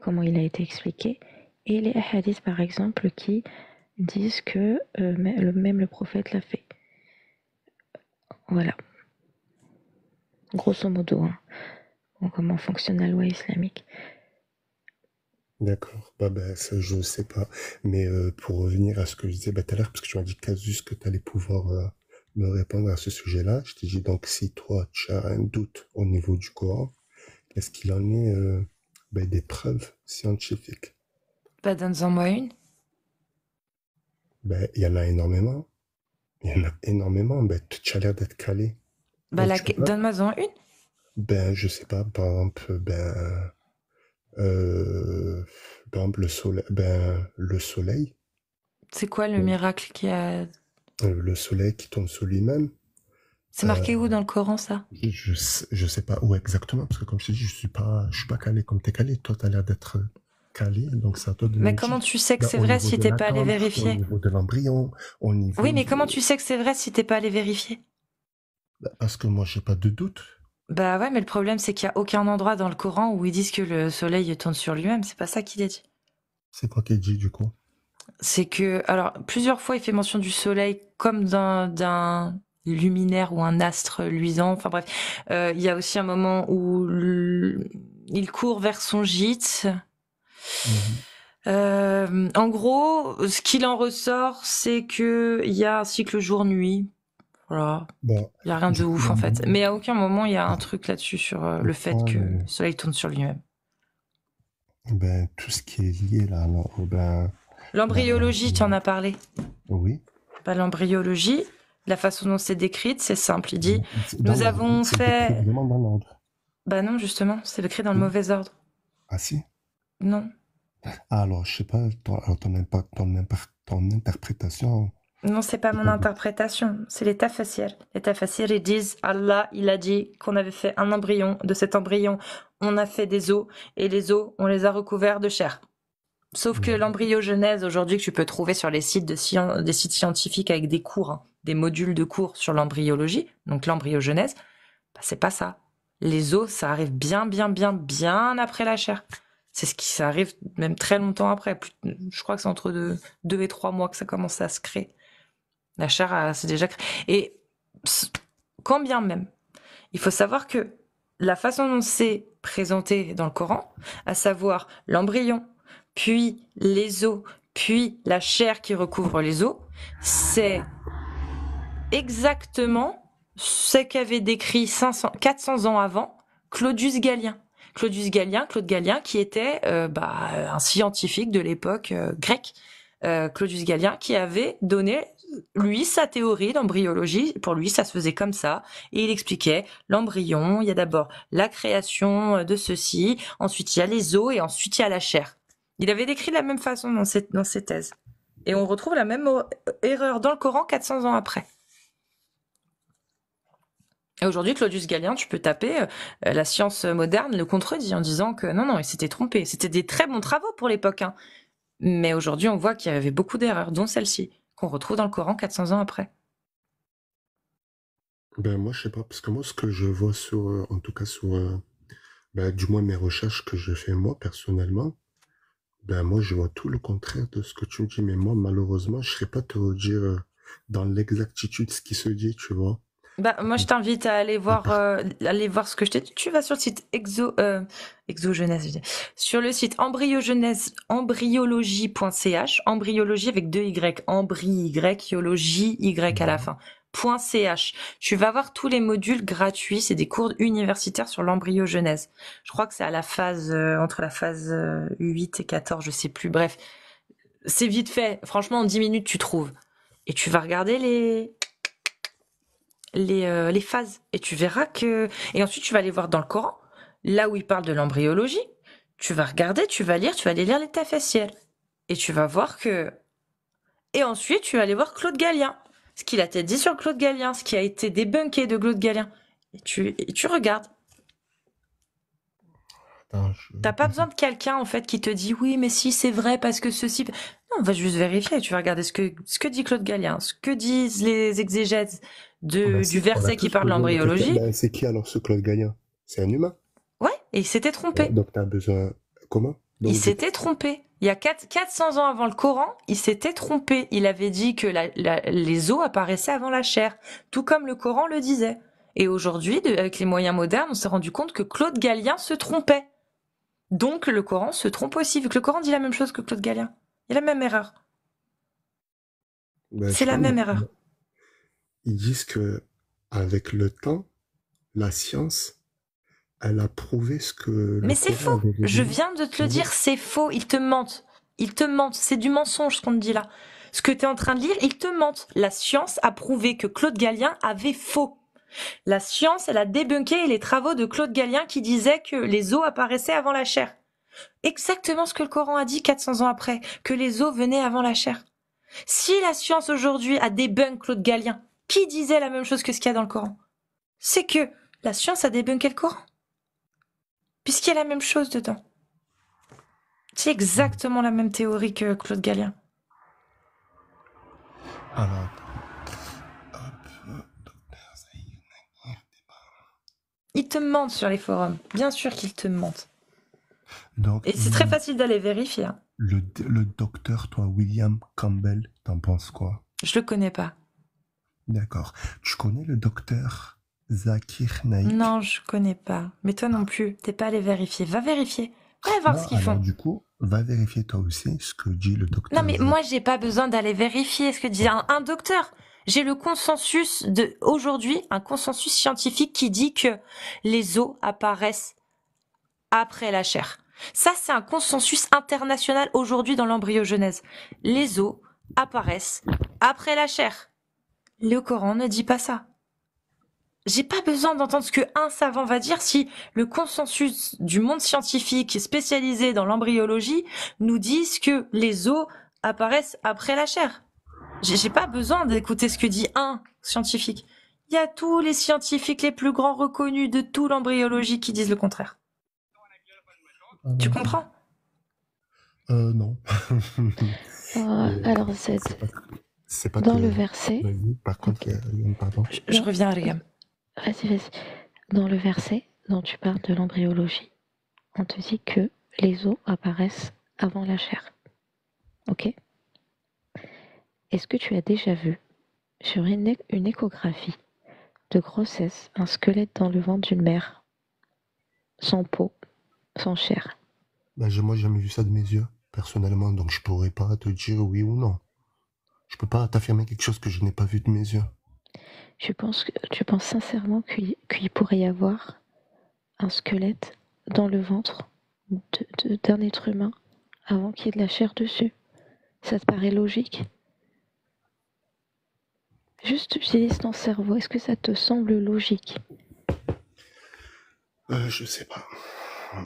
comment il a été expliqué, et les hadiths par exemple qui disent que euh, même le prophète l'a fait. Voilà. Grosso modo. Hein comment fonctionne la loi islamique. D'accord, bah, bah, ça je ne sais pas. Mais euh, pour revenir à ce que je disais bah, tout à l'heure, parce que tu m'as dit casus que tu allais pouvoir euh, me répondre à ce sujet-là, je t'ai dit donc si toi tu as un doute au niveau du Coran, est-ce qu'il en est euh, des preuves scientifiques Pas donne-en moi une. il y en a énormément. Il y en a énormément. Ben, tu as l'air d'être calé. Bah, Donne-moi-en une. Ben, je sais pas, par ben, euh, le soleil. Ben, le soleil. C'est quoi le euh. miracle qui a. Euh, le soleil qui tombe sur lui-même. C'est marqué où dans le Coran ça je, ne sais pas où exactement parce que comme je te dis je suis pas je suis pas calé comme tu es calé toi tu as l'air d'être calé donc ça te Mais comment tu sais que bah, c'est vrai si t'es pas allé vérifier Au niveau de oui, mais comment tu sais que c'est vrai si t'es pas allé vérifier bah, Parce que moi, j'ai pas de doute. Bah ouais, mais le problème, c'est qu'il n'y a aucun endroit dans le Coran où ils disent que le soleil tourne sur lui-même. C'est pas ça qu'il est dit. C'est quoi qu'il dit, du coup C'est que, alors, plusieurs fois, il fait mention du soleil comme d'un luminaire ou un astre luisant. Enfin bref, euh, il y a aussi un moment où il court vers son gîte Mhm. Euh, en gros, ce qu'il en ressort, c'est que il y a un cycle jour-nuit. Bah, il n'y y a rien de ouf en fait. Euh, Mais à aucun moment il y a un truc là-dessus sur euh, le fait que le soleil tourne sur lui-même. Bah, tout ce qui est lié là, oh, bah, L'embryologie, tu en as parlé. Oui. pas l'embryologie, la façon dont c'est décrite, c'est simple. Il dit, nous avons fait. Bah non, justement, c'est écrit dans le hmm. mauvais ordre. Ah si Non. Ah, alors, je sais pas, ton, interprétation. Non, c'est pas mon interprétation, c'est l'état tafassirs. L'état tafassirs, ils disent Allah, il a dit qu'on avait fait un embryon. De cet embryon, on a fait des os, et les os, on les a recouverts de chair. Sauf que hmm. l'embryogenèse, aujourd'hui, que tu peux trouver sur les sites, des sites scientifiques avec des cours, hein, des modules de cours sur l'embryologie, donc l'embryogenèse, bah, c'est pas ça. Les os, ça arrive bien, bien, bien, bien après la chair. C'est ce qui ça arrive même très longtemps après. je crois que c'est entre deux, deux, et trois mois que ça commence à se créer. La chair, c'est déjà créé. Et quand bien même, il faut savoir que la façon dont c'est présenté dans le Coran, à savoir l'embryon, puis les os, puis la chair qui recouvre les os, c'est exactement ce qu'avait décrit 500, 400 ans avant Claudius Gallien. Claudius Gallien, Gallien, qui était euh, bah, euh, un scientifique de l'époque euh, grecque, Claudius Gallien, qui avait donné lui sa théorie d'embryologie. Pour lui, ça se faisait comme ça, et il expliquait l'embryon. Il y a d'abord la création de ceci, ensuite il y a les os, et ensuite il y a la chair. Il avait décrit de la même façon dans ses, thèses. Et on retrouve la même euh, erreur dans le Coran 400 ans après. aujourd'hui, Claudius Galien, tu peux taper, euh, la science moderne le contredit en disant que non, non, il s'était trompé. C'était des très bons travaux pour l'époque. Hein. Mais aujourd'hui, on voit qu'il y avait beaucoup d'erreurs, dont celle-ci, qu'on retrouve dans le Coran 400 ans après. Ben moi, je sais pas, parce que moi, ce que je vois sur, euh, en tout cas sur, euh, ben, du moins mes recherches que je fais moi personnellement, ben moi, je vois tout le contraire de ce que tu me dis. Mais moi, malheureusement, je serais pas te redire euh, dans l'exactitude ce qui se dit, tu vois. Ben moi, je t'invite à aller voir, ce que je t'ai dit. Tu vas sur le site Exo, Exo sur le site embryogenèse embryologie.ch, embryologie avec deux Y, yologie Y à la mhm. fin. .ch. Tu vas voir tous les modules gratuits, c'est des cours universitaires sur l'embryogenèse. Je crois que c'est à la phase euh, entre la phase 8 euh, et 14, je sais plus. Bref, c'est vite fait. Franchement, en 10 minutes, tu trouves. Et tu vas regarder les euh, les, phases et tu verras que et ensuite tu vas aller voir dans le Coran, là où il parle de l'embryologie. Tu vas regarder, tu vas lire, tu vas aller lire les TFSL. Et tu vas voir que. Et ensuite, tu vas aller voir Claude Gallien. Ce qu'il a dit sur Claude Gallien, ce qui a été débunké de Claude Gallien. Et tu, regardes. T'as pas besoin de quelqu'un en fait qui te dit oui mais si c'est vrai parce que ceci. Non, on va juste vérifier. Tu vas regarder ce que dit Claude Gallien, ce que disent les exégètes ah bah, du verset qui parle d'embryologie. Bah, c'est qui alors ce Claude Gallien c'est un humain. Ouais, et il s'était trompé. Euh, donc tu as besoin. Comment Il s'était trompé. Il y a 400 ans avant le Coran, il s'était trompé. Il avait dit que les os apparaissaient avant la chair, tout comme le Coran le disait. Et aujourd'hui, avec les moyens modernes, on s'est rendu compte que Claude Galien se trompait. Donc le Coran se trompe aussi, vu que le Coran dit la même chose que Claude Galien. Il y a la même erreur. Ben, c'est la même erreur ils disent que avec le temps, la science, elle a prouvé ce que. Mais c'est faux. Je viens de te le dire, c'est faux. Ils te mentent. Ils te mentent. C'est du mensonge ce qu'on te dit là. Ce que tu es en train de lire, ils te mentent. La science a prouvé que Claude Gallien avait faux. La science, elle a débunké les travaux de Claude Gallien qui disait que les eaux apparaissaient avant la chair. Exactement ce que le Coran a dit 400 ans après, que les eaux venaient avant la chair. Si la science aujourd'hui a débunk Claude Galien, qui disait la même chose que ce qu'il y a dans le Coran C'est que la science a débunké le Coran. Puisqu'il y a la même chose dedans. C'est exactement la même théorie que Claude Galien. Alors. te ment sur les forums. Bien sûr qu'il te ment. Donc, Et c'est très mm. facile d'aller vérifier. Hein le, docteur, toi, William Campbell, t'en penses quoi Je le connais pas. D'accord. Tu connais le docteur Zakir Naik Non, je connais pas. Mais toi non plus, t'es pas allé vérifier. Va vérifier. Va voir ce qu'ils font. Du coup, va vérifier toi aussi ce que dit le docteur. Non, mais moi, j'ai pas besoin d'aller vérifier ce que dit un, docteur. J'ai le consensus de aujourd'hui, un consensus scientifique qui dit que les os apparaissent après la chair. Ça, c'est un consensus international aujourd'hui dans l'embryogenèse. Les os apparaissent après la chair. Le Coran ne dit pas ça. J'ai pas besoin d'entendre ce que un savant va dire si le consensus du monde scientifique spécialisé dans l'embryologie nous dit que les os apparaissent après la chair. J'ai pas besoin d'écouter ce que dit un scientifique. Il y a tous les scientifiques les plus grands reconnus de tout l'embryologie qui disent le contraire. Ah, tu comprends euh, non. Euh, euh, alors, c'est dans le verset. Par contre, Je, reviens à Vas-y, vas-y. Dans le verset dont tu parles de l'embryologie, on te dit que les os apparaissent avant la chair. Ok est-ce que tu as déjà vu, sur une, échographie de grossesse, un squelette dans le ventre d'une mère, sans peau, sans chair ben, Moi, j'ai jamais vu ça de mes yeux, personnellement, donc je pourrais pas te dire oui ou non. Je peux pas t'affirmer quelque chose que je n'ai pas vu de mes yeux. Tu penses que, sincèrement qu'il pourrait y avoir un squelette dans le ventre d'un être humain avant qu'il y ait de la chair dessus. Ça te paraît logique Juste utilise ton cerveau. Est-ce que ça te semble logique euh, Je sais pas.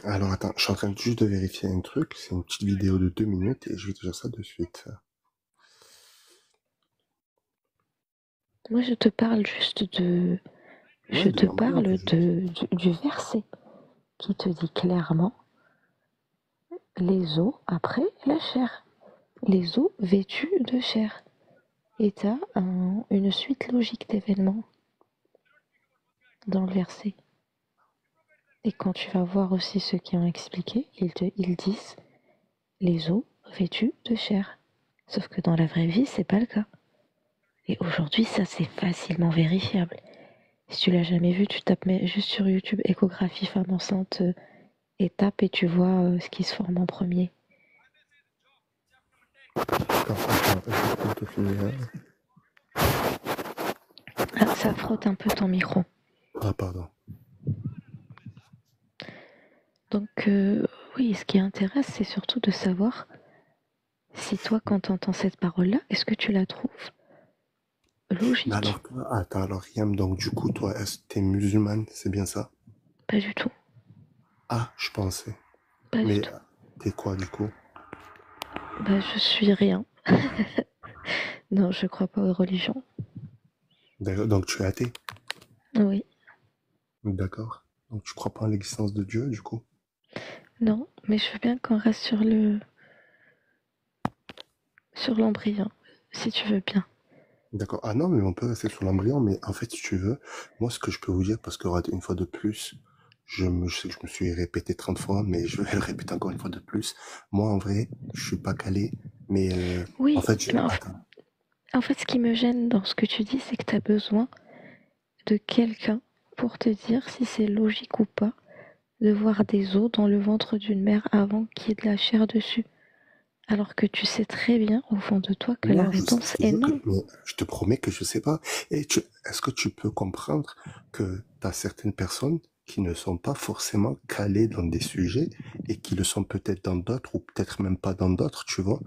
Alors attends, je suis en train juste de vérifier un truc. C'est une petite vidéo de deux minutes et je vais te dire ça de suite. Moi, je te parle juste de je te parle du, verset qui te dit clairement les eaux après la chair, les eaux vêtues de chair. Et tu as une suite logique d'événements dans le verset. Et quand tu vas voir aussi ceux qui ont expliqué, ils, disent les eaux vêtus de chair. Sauf que dans la vraie vie, ce n'est pas le cas. Et aujourd'hui, ça, c'est facilement vérifiable. Si tu l'as jamais vu, tu tapes juste sur YouTube échographie femme enceinte euh, et et tu vois euh, ce qui se forme en premier. Ah, ça frotte un peu ton micro. Ah, pardon. Donc, euh, oui, ce qui intéresse, c'est surtout de savoir si toi, quand tu entends cette parole-là, est-ce que tu la trouves logique attends, alors Yam, donc du coup, toi, est-ce t'es musulmane C'est bien ça Pas du tout. Ah, je pensais. Pas du tout. t'es quoi du coup Bah, je suis rien. non, je crois pas aux religions. donc tu es athée Oui. D'accord. Donc tu crois pas en l'existence de Dieu du coup non, mais je veux bien qu'on reste sur le. sur l'embryon, si tu veux bien. D'accord. Ah non, mais on peut rester sur l'embryon, mais en fait, si tu veux, moi, ce que je peux vous dire, parce que une fois de plus, je, me, je me suis répété 30 fois, mais je vais le répéter encore une fois de plus. Moi, en vrai, je ne suis pas calé, mais euh, oui, en fait, en, fait, en fait, ce qui me gêne dans ce que tu dis, c'est que tu as besoin de quelqu'un pour te dire si c'est logique ou pas de voir des os dans le ventre d'une mère avant qu'il y ait de la chair dessus. Alors que tu sais très bien au fond de toi que la réponse est non. je te promets que je sais pas. Et est-ce que tu peux comprendre que tu as certaines personnes qui ne sont pas forcément calées dans des sujets et qui le sont peut-être dans d'autres ou peut-être même pas dans d'autres, tu vois.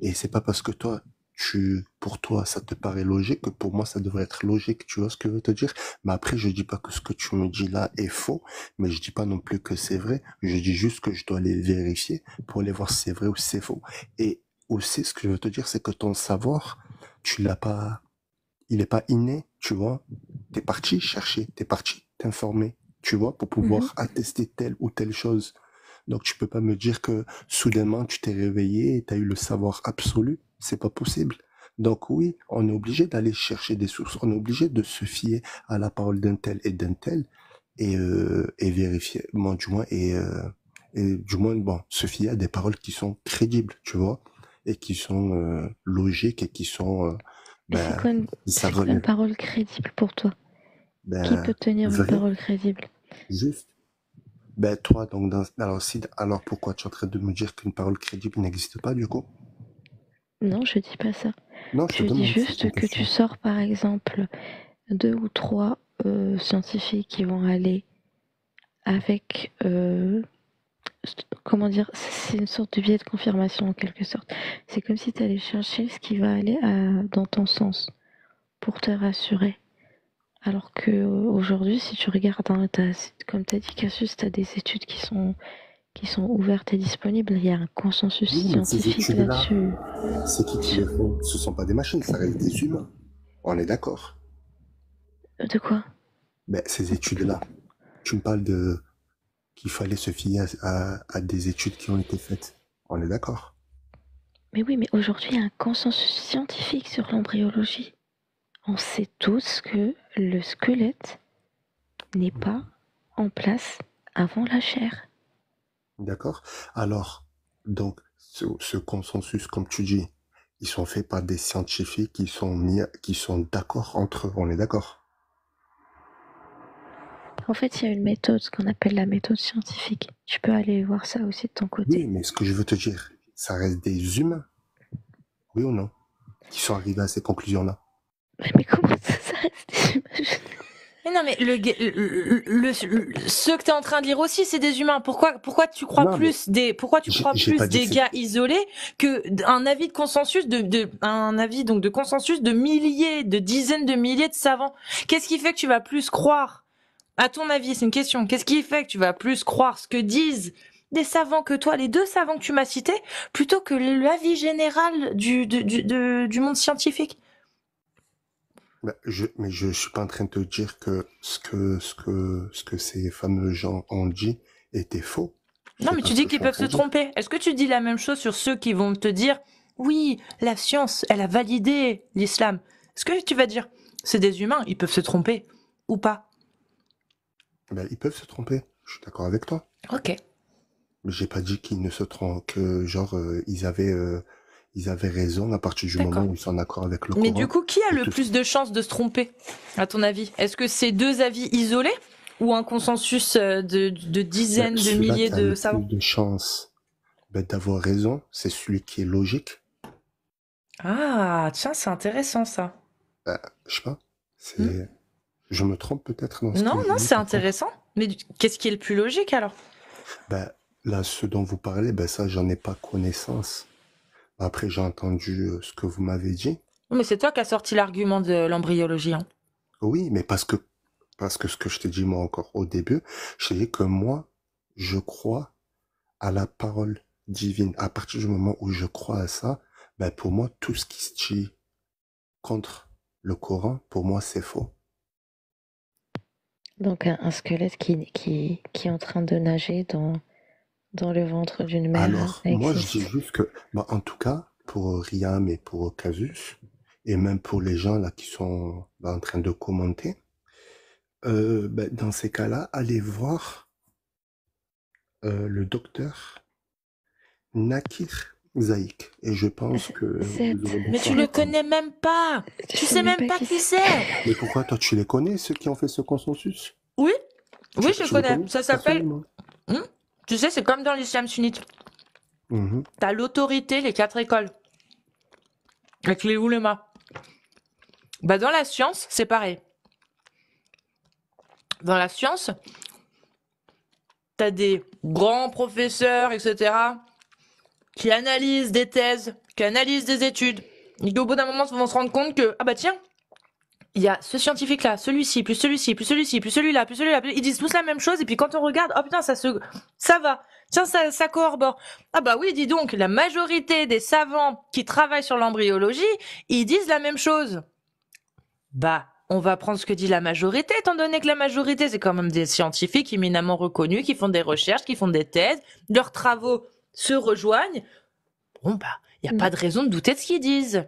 Et c'est pas parce que toi, tu, pour toi, ça te paraît logique, pour moi, ça devrait être logique, tu vois ce que je veux te dire? Mais après, je dis pas que ce que tu me dis là est faux, mais je dis pas non plus que c'est vrai, je dis juste que je dois les vérifier pour aller voir si c'est vrai ou si c'est faux. Et aussi, ce que je veux te dire, c'est que ton savoir, tu l'as pas, il n'est pas inné, tu vois? T'es parti chercher, t'es parti t'informer, tu vois, pour pouvoir mhm. attester telle ou telle chose. Donc tu peux pas me dire que soudainement tu t'es réveillé et tu as eu le savoir absolu. C'est pas possible. Donc oui, on est obligé d'aller chercher des sources. On est obligé de se fier à la parole d'un tel et d'un tel et, euh, et vérifier, du moins et, euh, et du moins bon, se fier à des paroles qui sont crédibles, tu vois, et qui sont euh, logiques et qui sont. Ben, c'est quoi, une, parole crédible pour toi Qui ben, peut tenir une parole crédible Juste ben, toi, donc, dans... alors, alors pourquoi tu es en train de me dire qu'une parole crédible n'existe pas, du coup Non, je dis pas ça. je, dis juste que tu sors, par exemple, deux ou trois euh, scientifiques qui vont aller avec. Euh, comment dire C'est une sorte de biais de confirmation, en quelque sorte. C'est comme si tu allais chercher ce qui va aller euh, dans ton sens pour te rassurer. Alors que euh, aujourd'hui, si tu regardes, hein, comme tu as dit Cassius, tu as des études qui sont, qui sont ouvertes et disponibles. Il y a un consensus scientifique là-dessus. c'est qui Ce ne sont pas des machines, ça reste des humains. On est d'accord. Euh, de quoi ben, Ces études-là. Tu me parles de qu'il fallait se fier à des études qui ont été faites. On est d'accord. Mais oui, mais aujourd'hui, il y a un consensus scientifique sur l'embryologie. On sait tous que le squelette n'est pas en place avant la chair. D'accord. Alors, donc, ce, consensus, comme tu dis, ils sont faits par des scientifiques qui sont, qui sont d'accord entre eux. On est d'accord En fait, il y a une méthode, ce qu'on appelle la méthode scientifique. Tu peux aller voir ça aussi de ton côté. Oui, mais ce que je veux te dire, ça reste des humains, oui ou non, qui sont arrivés à ces conclusions-là. Mais, comment ça, reste des humains non, mais le, que tu es en train de lire aussi, c'est des humains. Pourquoi, tu crois plus des, pourquoi tu crois plus des gars isolés que avis consensus de, avis donc de consensus de milliers, de dizaines de milliers de savants Qu'est-ce qui fait que tu vas plus croire à ton avis, c'est une question. Qu'est-ce qui fait que tu vas plus croire ce que disent des savants que toi, les deux savants que tu m'as cités, plutôt que l'avis général du, monde scientifique bah, Mais je ne suis pas en train de te dire que, ce que ces fameux gens ont dit était faux. Non, mais tu dis qu'ils peuvent se tromper. Est-ce que tu dis la même chose sur ceux qui vont te dire oui, la science, elle a validé l'islam ce que tu vas dire, c'est des humains, ils peuvent se tromper ou pas. Eh ben, ils peuvent se tromper, je suis d'accord avec toi. Ok. J'ai pas dit qu'ils ne se trompent, que genre euh, ils avaient euh, ils avaient raison à partir du moment où ils sont d'accord avec le Mais du coup, qui a le plus de chances de se tromper, à ton avis Est-ce que c'est deux avis isolés ou un consensus euh, de, dizaines de milliers de savants Le plus de chances ben, d'avoir raison, c'est celui qui est logique ah, tiens, c'est intéressant ça. Bah, je sais pas. Hmm. Je me trompe peut-être Non, non, c'est intéressant. Mais qu'est-ce qui est le plus logique alors? Ben, là, ce dont vous parlez, ben ça, j'en ai pas connaissance. Après, j'ai entendu euh, ce que vous m'avez dit. Mais c'est toi qui as sorti l'argument de l'embryologie, hein. Oui, mais parce que, parce que ce que je t'ai dit moi encore au début, je savais que moi, je crois à la parole divine. À partir du moment où je crois à ça, ben pour moi, tout ce qui se dit contre le Coran, pour moi, c'est faux. Donc un, squelette qui, qui, est en train de nager dans, dans le ventre d'une mère. Alors, moi, je dis juste que, ben, en tout cas, pour Riam et pour Casus, et même pour les gens là qui sont ben, en train de commenter, euh, ben, dans ces cas-là, allez voir euh, le docteur Nakir Zaïk. Et je pense que. Mais tu le connais même pas Tu sais même pas qui c'est Mais pourquoi toi tu les connais, ceux qui ont fait ce consensus Oui, oui, je connais. Ça s'appelle. Hmm? tu sais, c'est comme dans l'islam Tu as l'autorité, les quatre écoles. Avec les oulémas. Bah, dans la science, c'est pareil. Dans la science, t'as des grands professeurs, etc., qui analysent des thèses, qui analysent des études, et au bout d'un moment vont se rendre compte que, ah bah tiens, il y a ce scientifique-là, celui-ci, plus celui-ci, plus celui-ci, plus celui-là, plus celui-là, ils disent tous la même chose, et puis quand on regarde, oh putain, ça se, ça va. Tiens, ça, ça Ah bah oui, dis donc, la majorité des savants qui travaillent sur l'embryologie, ils disent la même chose. Bah, on va prendre ce que dit la majorité, étant donné que la majorité, c'est quand même des scientifiques éminemment reconnus, qui font des recherches, qui font des thèses, leurs travaux se rejoignent. Bon, bah, il n'y a pas de raison de douter de ce qu'ils disent.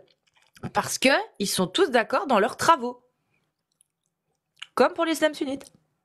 Parce que ils sont tous d'accord dans leurs travaux. Comme pour l'islam sunnite.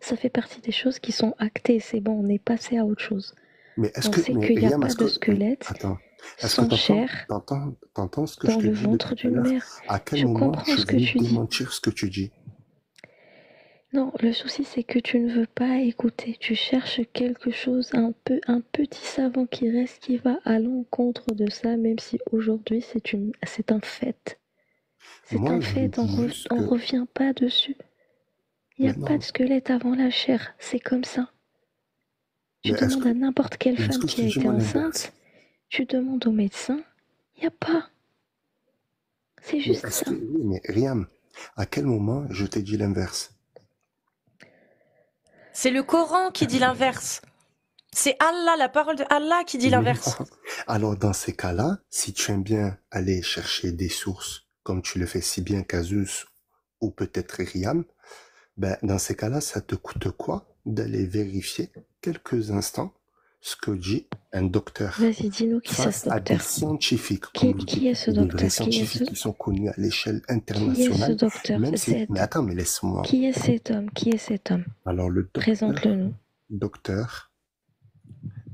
Ça fait partie des choses qui sont actées. C'est bon, on est passé à autre chose. Mais est-ce que, qu'il n'y a pas de squelette Attends. dans le ventre d'une mère À quel moment ce que tu ce que tu dis Non, le souci c'est que tu ne veux pas écouter. Tu cherches quelque chose, un peu, un petit savant qui reste, qui va à l'encontre de ça, même si aujourd'hui c'est une, c'est un fait. C'est un fait, on ne revient pas dessus. Il n'y a pas de squelette avant la chair, c'est comme ça. Tu demandes à n'importe quelle femme qui a été enceinte, tu demandes au médecin, il n'y a pas. C'est juste ça. mais Riam, à quel moment je t'ai dit l'inverse C'est le Coran qui dit l'inverse. C'est Allah, la parole de Allah qui dit l'inverse. Alors dans ces cas-là, si tu aimes bien aller chercher des sources, comme tu le fais si bien Casus ou peut-être Riam, ben, dans ces cas-là, ça te coûte quoi d'aller vérifier quelques instants ce que dit un docteur Vas-y, dis-nous qui c'est ce docteur. scientifiques. Qui, est ce docteur Des scientifiques qui, sont connus à l'échelle internationale. Qui est Mais attends, mais laisse-moi. Qui est cet homme Qui est cet homme Alors le docteur... Présente-le-nous. Docteur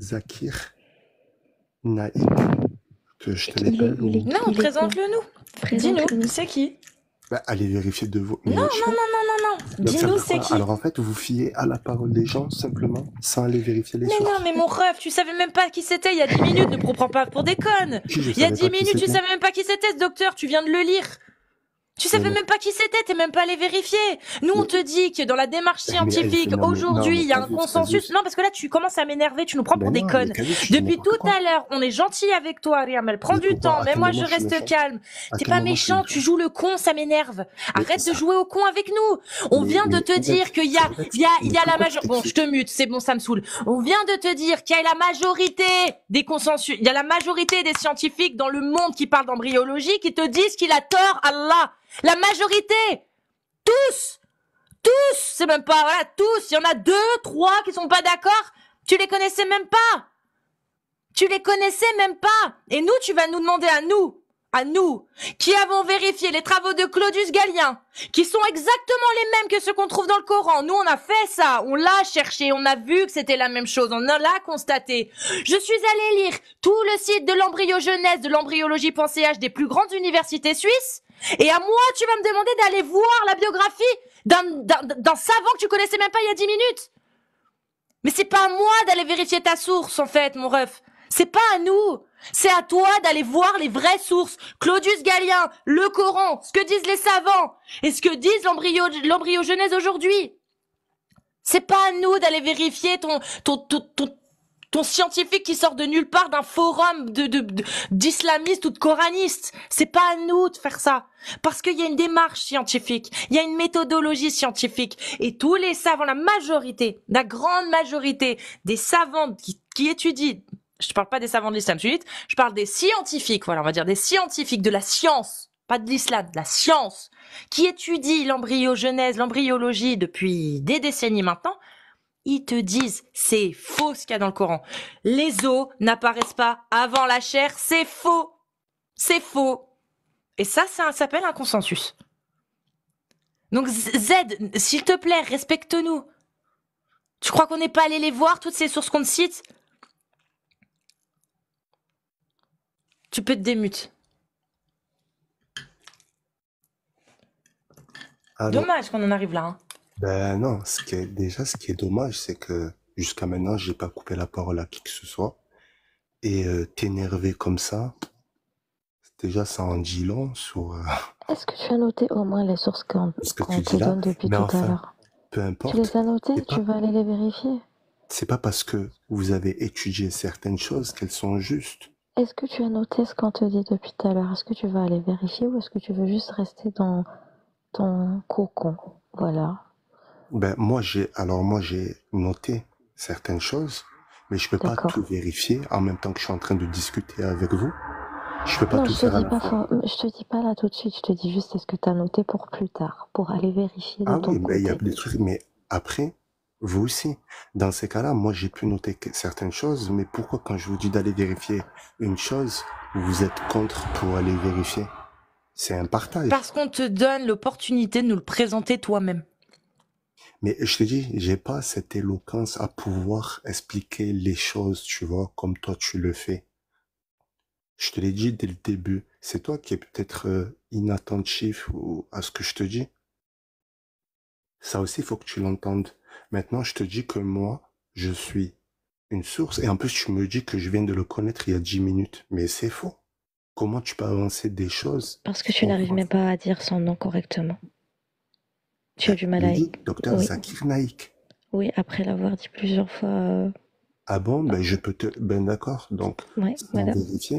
Zakir Naïk, que je te l'ai Non, présente-le nous. Dis-nous, c'est qui bah, Allez vérifier de vos. Non, non, non, non, non, non. Dis-nous, c'est qui Alors en fait, vous fiez à la parole des gens simplement, sans aller vérifier les choses. Mais non, mais mon ref, tu savais même pas qui c'était il y a 10 minutes, ne prends pas pour des connes. Il y a 10 minutes, tu savais même pas qui c'était ce docteur, tu viens de le lire. Tu savais même pas qui c'était, t'es même pas allé vérifier. Nous, on te dit que dans la démarche scientifique, aujourd'hui, il y a un consensus. Non, parce que là, tu commences à m'énerver, tu nous prends pour ben des connes. Depuis tout à l'heure, on est gentil avec toi, Ariam. Elle prend du temps, mais moi, je reste calme. T'es pas méchant, tu joues le con, ça m'énerve. Arrête de jouer au con avec nous. On vient de te dire qu'il y a, il y a, il y a la majorité. Bon, je te mute, c'est bon, ça me saoule. On vient de te dire qu'il y a la majorité des consensus. Il y a la majorité des scientifiques dans le monde qui parlent d'embryologie qui te disent qu'il a tort, Allah. La majorité Tous Tous C'est même pas, voilà, tous Il y en a deux, trois qui sont pas d'accord Tu les connaissais même pas Tu les connaissais même pas Et nous, tu vas nous demander à nous à nous, qui avons vérifié les travaux de Claudius gallien qui sont exactement les mêmes que ceux qu'on trouve dans le Coran. Nous, on a fait ça, on l'a cherché, on a vu que c'était la même chose, on l'a constaté. Je suis allé lire tout le site de l'embryogenèse, de l'embryologie.ch des plus grandes universités suisses. Et à moi, tu vas me demander d'aller voir la biographie d'un savant que tu connaissais même pas il y a 10 minutes. Mais c'est pas à moi d'aller vérifier ta source, en fait, mon ref. C'est pas à nous. C'est à toi d'aller voir les vraies sources. Claudius Galien, le Coran, ce que disent les savants et ce que disent l'embryogenèse aujourd'hui. C'est pas à nous d'aller vérifier ton, ton, ton, ton, scientifique qui sort de nulle part d'un forum de, d'islamistes de, ou de coranistes. C'est pas à nous de faire ça. Parce qu'il y a une démarche scientifique, il y a une méthodologie scientifique. Et tous les savants, la majorité, la grande majorité des savants qui, étudient, je ne parle pas des savants de l'islam je parle des scientifiques, voilà, on va dire des scientifiques de la science, pas de l'islam, de la science, qui étudie l'embryogenèse, l'embryologie depuis des décennies maintenant, ils te disent c'est faux ce qu'il y a dans le Coran. Les os n'apparaissent pas avant la chair, c'est faux. C'est faux. Et ça, ça s'appelle un consensus. Donc Z, s'il te plaît, respecte-nous. Tu crois qu'on n'est pas allé les voir, toutes ces sources qu'on cite tu peux te démute. Ah, dommage qu'on en arrive là. Hein. Ben non, déjà, ce qui est dommage, c'est que jusqu'à maintenant, j'ai pas coupé la parole à qui que ce soit. Et euh, t'énerver comme ça, déjà, ça en dit long sur. Euh, Est-ce que tu as noté au moins les sources qu'on te donne depuis tout à l'heure Peu importe. Tu les as notées, tu vas aller les vérifier. C'est pas parce que vous avez étudié certaines choses qu'elles sont justes. Est-ce que tu as noté ce qu'on te dit depuis tout à l'heure Est-ce que tu vas aller vérifier ou est-ce que tu veux juste rester dans ton cocon Voilà. Ben moi j'ai alors moi j'ai noté certaines choses, mais je peux pas tout vérifier en même temps que je suis en train de discuter avec vous. Je peux pas tout faire. dis à la pas Je te dis pas là tout de suite. Je te dis juste est-ce que tu as noté pour plus tard, pour aller vérifier. ah ben, il y a des trucs, mais après vous aussi. Dans ces cas-là, moi, j'ai pu noter certaines choses, mais pourquoi quand je vous dis d'aller vérifier une chose, vous êtes contre pour aller vérifier C'est un partage. Parce qu'on te donne l'opportunité de nous le présenter toi-même. Mais je te dis, j'ai pas cette éloquence à pouvoir expliquer les choses, tu vois, comme toi tu le fais. Je te l'ai dit dès le début. C'est toi qui es peut-être euh, inattentif à ce que je te dis. Ça aussi, il faut que tu l'entendes. Maintenant, je te dis que moi, je suis une source. Et en plus, tu me dis que je viens de le connaître il y a dix minutes. Mais c'est faux. Comment tu peux avancer des choses Parce que tu n'arrives même pas à dire son nom correctement. Tu as du mal à... Docteur oui. Zakir Oui, après l'avoir dit plusieurs fois. Euh, ah bon, ben, je peux te. Ben d'accord, donc,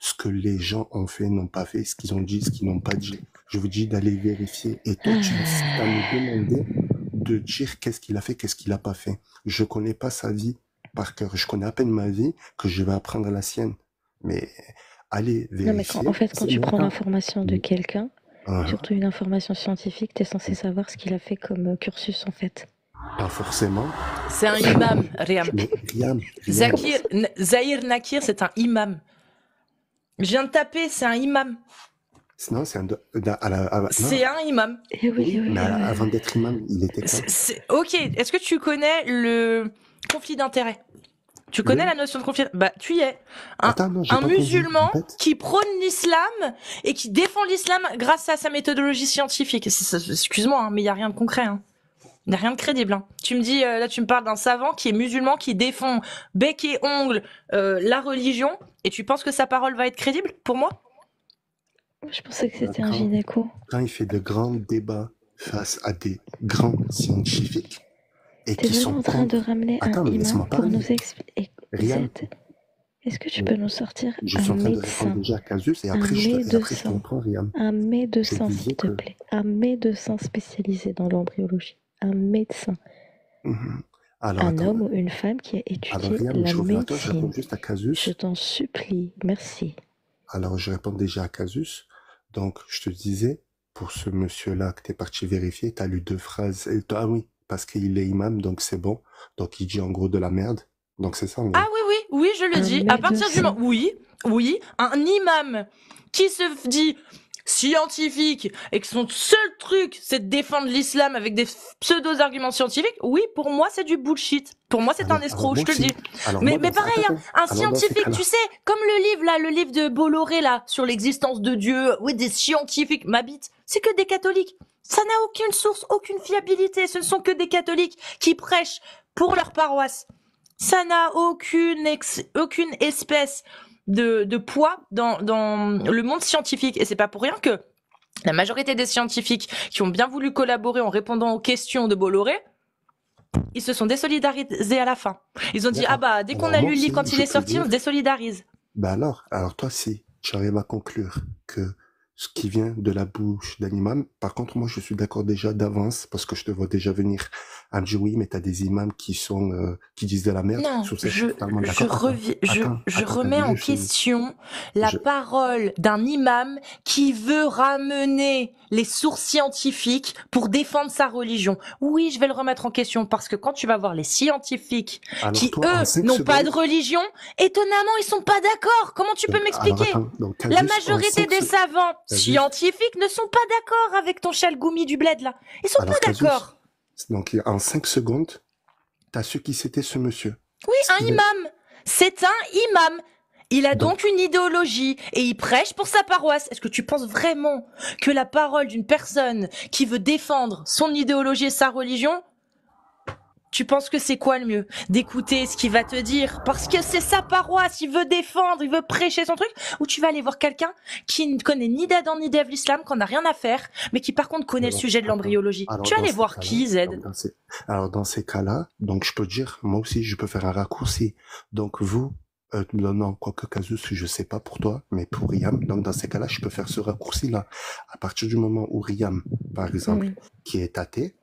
ce que les gens ont fait, n'ont pas fait, ce qu'ils ont dit, ce qu'ils n'ont pas dit. Je vous dis d'aller vérifier. Et toi, tu vas me demander de dire qu'est-ce qu'il a fait, qu'est-ce qu'il n'a pas fait. Je connais pas sa vie par cœur. Je connais à peine ma vie que je vais apprendre la sienne. Mais allez vérifier. en fait, quand tu prends l'information de quelqu'un, ah. surtout une information scientifique, tu es censé mm. savoir ce qu'il a fait comme euh, cursus en fait. Pas forcément. C'est un imam, rien Riam, Zakir, Zahir Nakir, c'est un imam. Je viens de taper, c'est un imam. c'est un, imam. Eh eh mais avant d'être imam, il était. ok, est-ce que tu connais le conflit d'intérêts, tu connais la notion de conflit Bah, tu y es. Un, musulman qui prône l'islam et qui défend l'islam grâce à sa méthodologie scientifique. Excuse-moi, hein, mais il n'y a rien de concret. Hein. Il rien de crédible. Hein. Tu me dis, euh, là, tu me parles d'un savant qui est musulman, qui défend bec et ongle euh, la religion, et tu penses que sa parole va être crédible pour moi Je pensais que c'était un gynéco. Quand il fait de grands débats face à des grands scientifiques, et qui sont en train de ramener un imam pour nous expliquer. Est-ce que tu peux nous sortir un médecin, déjà médecin, un médecin, s'il te plaît un médecin spécialisé dans l'embryologie, un médecin. Mhm. un homme ou une femme qui a étudié la médecine. je juste Casus. Je t'en supplie, merci. Alors, je réponds déjà à Casus. Donc, je te disais, pour ce monsieur-là que tu es parti vérifier, tu as lu deux phrases. Et ah oui, parce qu'il est imam, donc c'est bon. Donc, il dit en gros de la merde. Donc, c'est ça. Ah oui, oui, oui, je le dis. À partir du moment. Oui, oui, un imam qui se dit scientifique et que son seul truc c'est de défendre l'islam avec des pseudo arguments scientifiques, oui, pour moi c'est du bullshit. Pour moi c'est un escroc, je te le dis. mais, mais pareil, hein, un, scientifique, tu sais, comme le livre là, le livre de Bolloré là sur l'existence de Dieu, oui, des scientifiques m'habitent, c'est que des catholiques. Ça n'a aucune source, aucune fiabilité. Ce ne sont que des catholiques qui prêchent pour leur paroisse. Ça n'a aucune, aucune espèce de, poids dans, le monde scientifique. Et c'est pas pour rien que la majorité des scientifiques qui ont bien voulu collaborer en répondant aux questions de Bolloré, ils se sont désolidarisés à la fin. Ils ont dit, ah bah, dès qu'on a lu le quand il est sorti, on se désolidarise. Bah alors, alors toi, si arrives à conclure que ce qui vient de la bouche d'animal, par contre, moi, je suis d'accord déjà d'avance parce que je te vois déjà venir à oui, mais as des imams qui sont euh, qui disent de la merde. Non, je, je remets en question la parole d'un imam qui veut ramener les sources scientifiques pour défendre sa religion. Oui, je vais le remettre en question parce que quand tu vas voir les scientifiques qui eux n'ont pas de religion, étonnamment, ils sont pas d'accord. Comment tu euh, peux m'expliquer La majorité des savants scientifiques ne sont pas d'accord avec ton chalgoumi du bled, là. Ils sont pas d'accord. Donc, en cinq secondes, as su qui c'était ce monsieur. Oui, un imam. C'est un imam. Il a donc, donc une idéologie et il prêche pour sa paroisse. Est-ce que tu penses vraiment que la parole d'une personne qui veut défendre son idéologie et sa religion, tu penses que c'est quoi le mieux D'écouter ce qu'il va te dire parce que c'est ça paroisse, il veut défendre, il veut prêcher son truc, ou tu vas aller voir quelqu'un qui ne connaît ni d'Adam ni d'Eve l'islam, qu'on n'a rien à faire, mais qui par contre connaît le sujet de l'embryologie. Tu vas aller voir qui, Z alors dans, ces... cas-là, donc je peux dire, moi aussi, je peux faire un raccourci. Donc vous, euh, non, quoi que Casus, je sais pas pour toi, mais pour Riam, donc dans ces cas-là, je peux faire ce raccourci-là. À partir du moment où Riam, par exemple, qui est athée,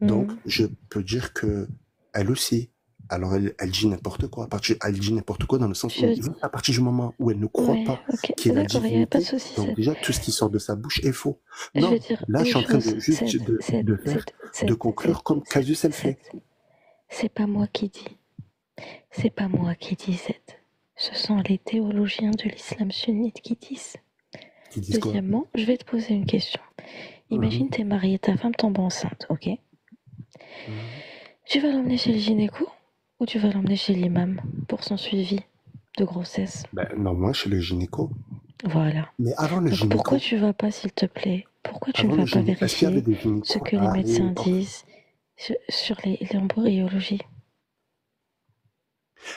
mhm. donc je peux dire que elle aussi, alors elle, dit n'importe quoi. À partir, elle dit n'importe quoi dans le sens où, à partir du moment où elle ne croit pas qu'elle qu'il a donc déjà tout ce qui sort de sa bouche est faux. non, là je suis en train de de, conclure comme Casus elle fait. C'est pas moi qui dis. C'est pas moi qui dis cette. Ce sont les théologiens de l'islam sunnite qui disent. Deuxièmement, je vais te poser une question. Mhm. Imagine, tu es marié, ta femme tombe enceinte, ok mhm. Tu vas l'emmener chez le gynéco ou tu vas l'emmener chez l'imam pour son suivi de grossesse ben, non moi, chez le gynéco. Voilà. Mais avant le gynéco. Pourquoi tu vas pas, s'il te plaît Pourquoi tu ne vas pas vérifier ce que les médecins disent sur l'embryologie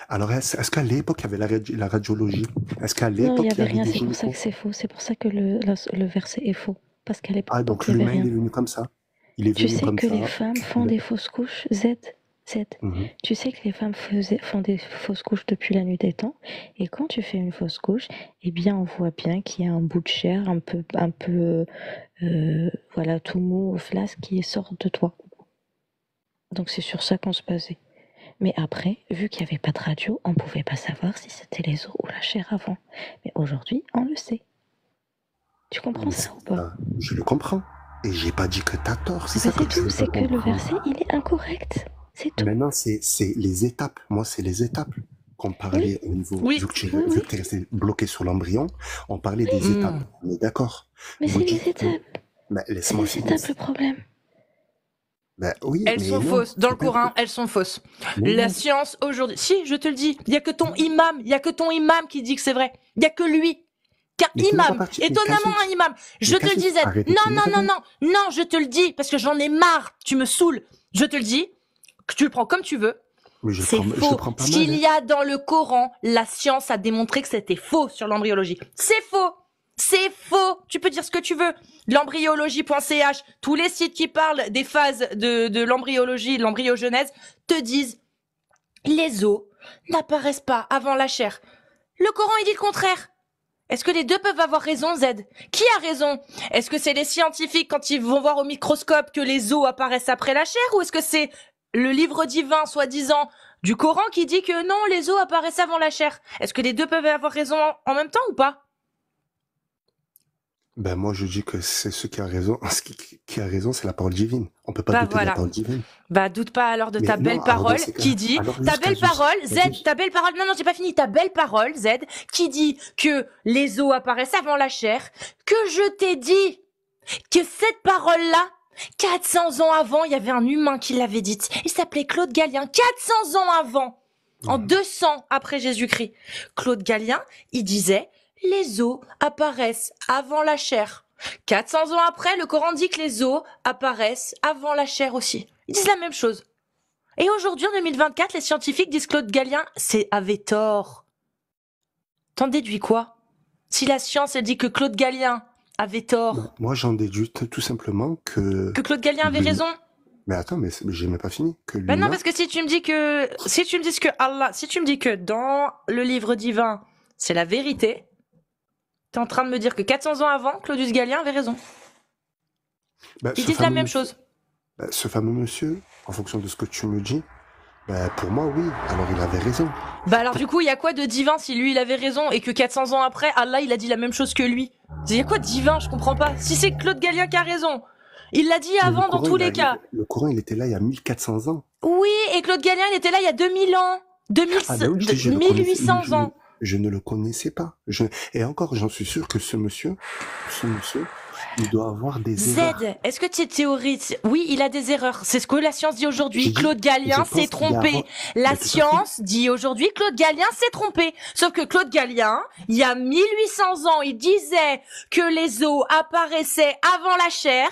alors, est-ce, qu'à l'époque, il y avait la, radiologie Est-ce qu'à l'époque, il n'y avait, rien, c'est pour c'est pour ça que le, verset est faux. Parce qu'elle est Ah, donc l'humain est venu comme ça. tu sais que les femmes font des fausses couches, Z, mhm. Tu sais que les femmes font des fausses couches depuis la nuit des temps. Et quand tu fais une fausse couche, eh bien, on voit bien qu'il y a un bout de chair, un peu, un peu, euh, voilà, tout mou, flasque qui sort de toi. Donc c'est sur ça qu'on se basait. Mais après, vu qu'il n'y avait pas de radio, on ne pouvait pas savoir si c'était les os ou la chair avant. Mais aujourd'hui, on le sait. Tu comprends ça ou pas euh, Je le comprends. Et j'ai pas dit que tu as tort. C'est ça que tout, c'est que le verset, il est incorrect. C'est tout. Maintenant, c'est les étapes. Moi, c'est les étapes qu'on parlait au niveau. Oui. Vu que tu es resté bloqué sur l'embryon, on parlait des hmm. étapes. On est d'accord. Mais c'est les étapes. Mais laisse-moi C'est les étapes le problème. Bah oui, elles sont fausses. Dans le Coran, elles sont fausses. la science aujourd'hui. Si, je te le dis, il y a que ton imam, il y a que ton imam qui dit que c'est vrai. Il y a que lui. car imam, étonnamment un imam. Je te le disais. Non, non, non, non, non, je te le dis parce que j'en ai marre. Tu me saoules. Je te le dis. Que tu le prends comme tu veux. C'est faux. qu'il hein. y a dans le Coran, la science a démontré que c'était faux sur l'embryologie. C'est faux. C'est faux. Tu peux dire ce que tu veux. L'embryologie.ch, tous les sites qui parlent des phases de, l'embryologie, de l'embryogenèse, te disent les os n'apparaissent pas avant la chair. Le Coran, il dit le contraire. Est-ce que les deux peuvent avoir raison, Z Qui a raison Est-ce que c'est les scientifiques quand ils vont voir au microscope que les os apparaissent après la chair ou est-ce que c'est le livre divin, soi-disant, du Coran qui dit que non, les os apparaissent avant la chair Est-ce que les deux peuvent avoir raison en même temps ou pas ben moi, je dis que c'est ce qui a raison. Ce qui, a raison, c'est la parole divine. On peut pas bah, douter de la parole divine. Bah doute pas alors de ta belle parole qui dit ta belle parole Z, ta belle parole. Non non, j'ai pas fini. Ta belle parole Z qui dit que les os apparaissent avant la chair. Que je t'ai dit que cette parole là 400 ans avant, il y avait un humain qui l'avait dite. Il s'appelait Claude Gallien. 400 ans avant en 200 après Jésus-Christ. Claude Gallien, il disait les os apparaissent avant la chair. 400 ans après, le Coran dit que les os apparaissent avant la chair aussi. Ils disent la même chose. Et aujourd'hui, en 2024, les scientifiques disent Claude Gallien c'est avait tort. T'en déduis quoi Si la science elle dit que Claude Gallien avait tort. Moi, j'en déduis tout simplement que. Que Claude Gallien avait raison mais attends, mais j'ai même pas fini. Que ben non, parce que si tu me dis que si tu me dis que Allah, si tu me dis que dans le livre divin, c'est la vérité, tu es en train de me dire que 400 ans avant, Claudius Gallien avait raison. Bah, Ils disent la même chose. Bah, ce fameux monsieur, en fonction de ce que tu me dis, bah, pour moi, oui. Alors il avait raison. Bah alors du coup, il y a quoi de divin si lui il avait raison et que 400 ans après, Allah il a dit la même chose que lui quoi de divin Je comprends pas. Si c'est Claude Galien qui a raison. Il l'a dit avant dans tous les cas. Le courant, il était là il y a 1400 ans. Oui, et Claude Galien, il était là il y a 2000 ans. 2000, 1800 ah, ans. Je, ne le connaissais pas. et encore, j'en suis sûr que ce monsieur, ce monsieur, il doit avoir des erreurs. Z, est-ce que tu es théoriste Oui, il a des erreurs. C'est ce que la science dit aujourd'hui. Claude Galien s'est trompé. La science dit aujourd'hui Claude Galien s'est trompé. Sauf que Claude Gallien, il y a 1800 ans, il disait que les os apparaissaient avant la chair.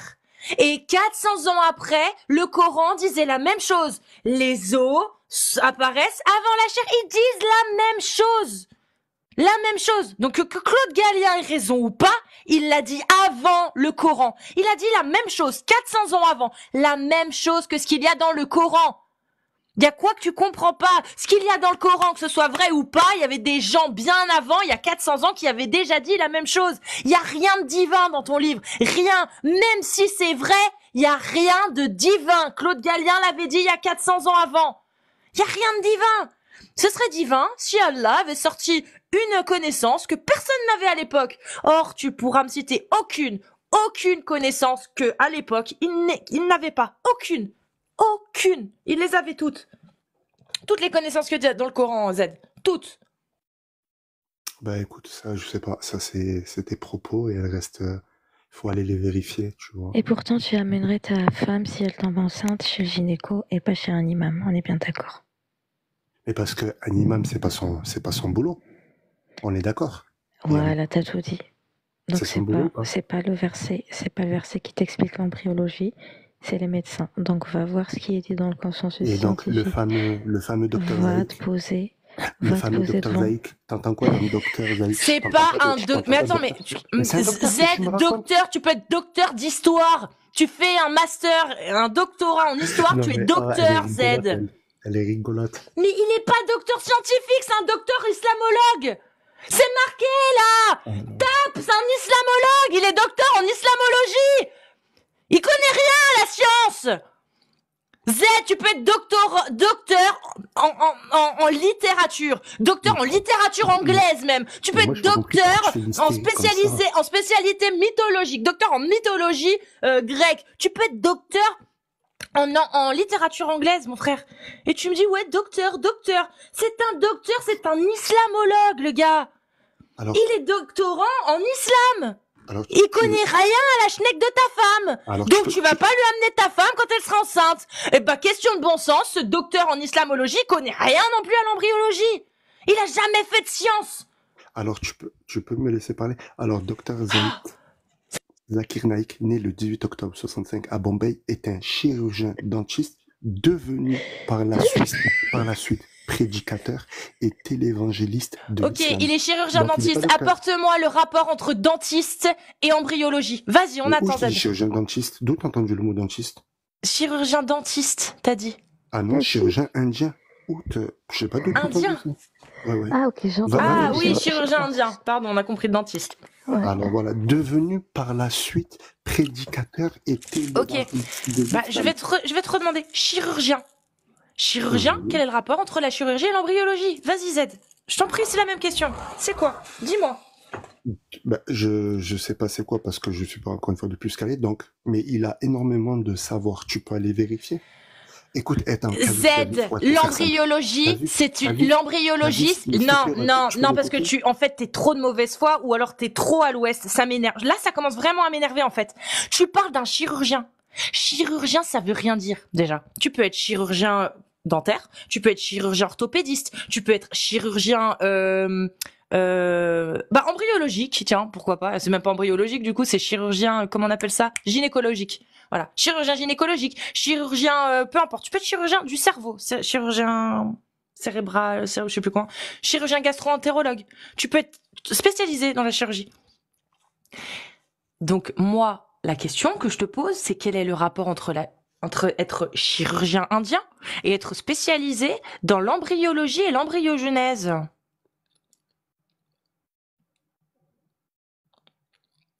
Et 400 ans après, le Coran disait la même chose. Les os apparaissent avant la chair. Ils disent la même chose. La même chose. Donc que Claude Gallien ait raison ou pas, il l'a dit avant le Coran. Il a dit la même chose, 400 ans avant, la même chose que ce qu'il y a dans le Coran. Il y a quoi que tu comprends pas Ce qu'il y a dans le Coran, que ce soit vrai ou pas, il y avait des gens bien avant, il y a 400 ans, qui avaient déjà dit la même chose. Il y a rien de divin dans ton livre, rien. Même si c'est vrai, il n'y a rien de divin. Claude Gallien l'avait dit il y a 400 ans avant. Il y a rien de divin. Ce serait divin si Allah avait sorti une connaissance que personne n'avait à l'époque. Or, tu pourras me citer aucune, aucune connaissance que, à l'époque, il n'avait pas. Aucune. Aucune. Il les avait toutes. Toutes les connaissances que tu as dans le Coran, Z. Toutes. Bah écoute, ça, je sais pas. Ça, c'est tes propos et elle reste. il euh, faut aller les vérifier, tu vois. Et pourtant, tu amènerais ta femme, si elle tombe enceinte, chez le gynéco et pas chez un imam. On est bien d'accord. Mais parce qu'un imam, c'est pas c'est pas son boulot. On est d'accord. Voilà, t'as tout dit. Donc c'est pas, c'est pas le verset, c'est pas le verset qui t'explique l'embryologie, c'est les médecins. Donc va voir ce qui était dans le consensus Et donc le fameux, le fameux docteur va Te docteur T'entends quoi docteur C'est pas un docteur. Mais attends, mais, Z docteur, tu peux être docteur d'histoire. Tu fais un master, un doctorat en histoire, tu es docteur Z. Elle est rigolote. Mais il n'est pas docteur scientifique, c'est un docteur islamologue. C'est marqué là. Oh Top c'est un islamologue. Il est docteur en islamologie. Il connaît rien à la science. Z, tu peux être docteur en, littérature, docteur en littérature anglaise même. Tu peux être docteur en spécialisé, en spécialité mythologique, docteur en mythologie euh, grecque. Tu peux être docteur en, en, littérature anglaise, mon frère. Et tu me dis, ouais, docteur, docteur. C'est un docteur, c'est un islamologue, le gars. il est doctorant en islam. il connaît rien à la schneck de ta femme. Donc tu, vas pas lui amener ta femme quand elle sera enceinte. et eh bah ben, question de bon sens, ce docteur en islamologie connaît rien non plus à l'embryologie. Il a jamais fait de science. Alors tu peux, tu peux me laisser parler. Alors, docteur ah. Zakir Naik, né le 18 octobre 65 à Bombay, est un chirurgien dentiste devenu par la suite, prédicateur et télévangéliste de Ok, il est chirurgien dentiste. Apporte-moi le rapport entre dentiste et embryologie. Vas-y, on attend. Où chirurgien dentiste. D'où t'as entendu le mot dentiste Chirurgien dentiste, t'as dit. Ah non, chirurgien indien. Où Je sais pas d'où Indien. Ah, ok, Ah oui, chirurgien indien. Pardon, on a compris dentiste. Alors voilà, devenu par la suite prédicateur et théologue. Ok, bah, je, vais te redemander, chirurgien. Chirurgien, quel est le rapport entre la chirurgie et l'embryologie Vas-y Z, je t'en prie, c'est la même question. C'est quoi Dis-moi. Bah, je je sais pas c'est quoi parce que je suis pas encore une fois de plus calé donc mais il a énormément de savoir tu peux aller vérifier Écoute, Z, l'embryologie, c'est une L'embryologiste, Non, non, non, parce que tu, en fait, t'es trop de mauvaise foi ou alors t'es trop à l'ouest. Ça m'énerve. Là, ça commence vraiment à m'énerver en fait. Tu parles d'un chirurgien. Chirurgien, ça veut rien dire déjà. Tu peux être chirurgien dentaire, tu peux être chirurgien orthopédiste, tu peux être chirurgien. Euh, euh, bah embryologique tiens pourquoi pas c'est même pas embryologique du coup c'est chirurgien comment on appelle ça gynécologique voilà, chirurgien gynécologique, chirurgien, euh, peu importe. Tu peux être chirurgien du cerveau, chirurgien cérébral, euh, je sais plus quoi, chirurgien gastro-entérologue. Tu peux être spécialisé dans la chirurgie. Donc moi, la question que je te pose, c'est quel est le rapport entre la entre être chirurgien indien et être spécialisé dans l'embryologie et l'embryogenèse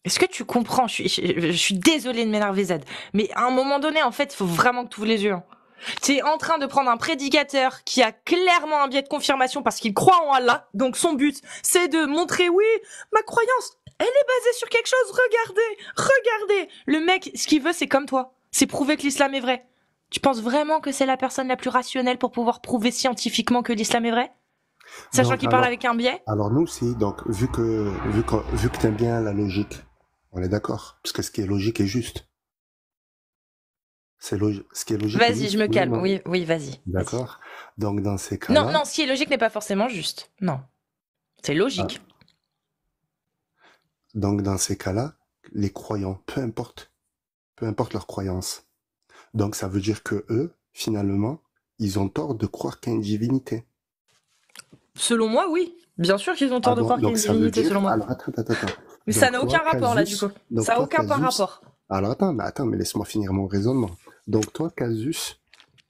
est-ce que tu comprends je suis, désolée de m'énerver Z, mais à un moment donné, en fait, il faut vraiment que tu ouvres les yeux. Hein. T'es en train de prendre un prédicateur qui a clairement un biais de confirmation parce qu'il croit en Allah. Donc son but, c'est de montrer oui, ma croyance, elle est basée sur quelque chose. Regardez, regardez. Le mec, ce qu'il veut, c'est comme toi. C'est prouver que l'islam est vrai. Tu penses vraiment que c'est la personne la plus rationnelle pour pouvoir prouver scientifiquement que l'islam est vrai Sachant qu'il parle avec un biais Alors nous si, donc vu que vu que bien la logique, on est d'accord, parce que ce qui est logique est juste. C'est ce qui est logique. Vas-y, je me calme. Oui, oui, vas-y. D'accord. donc dans ces cas. -là... Non, non, ce qui est logique n'est pas forcément juste. Non, c'est logique. Ah. Donc dans ces cas-là, les croyants, peu importe, peu importe leur croyance. Donc ça veut dire que eux, finalement, ils ont tort de croire qu'il y a une divinité. Selon moi, oui. Bien sûr qu'ils ont tort ah de croire qu'il y a une divinité, selon moi. Mais ça n'a aucun rapport, là, du coup. ça n'a aucun rapport. Alors, attends, mais attends, mais laisse-moi finir mon raisonnement. Donc, toi, Casus,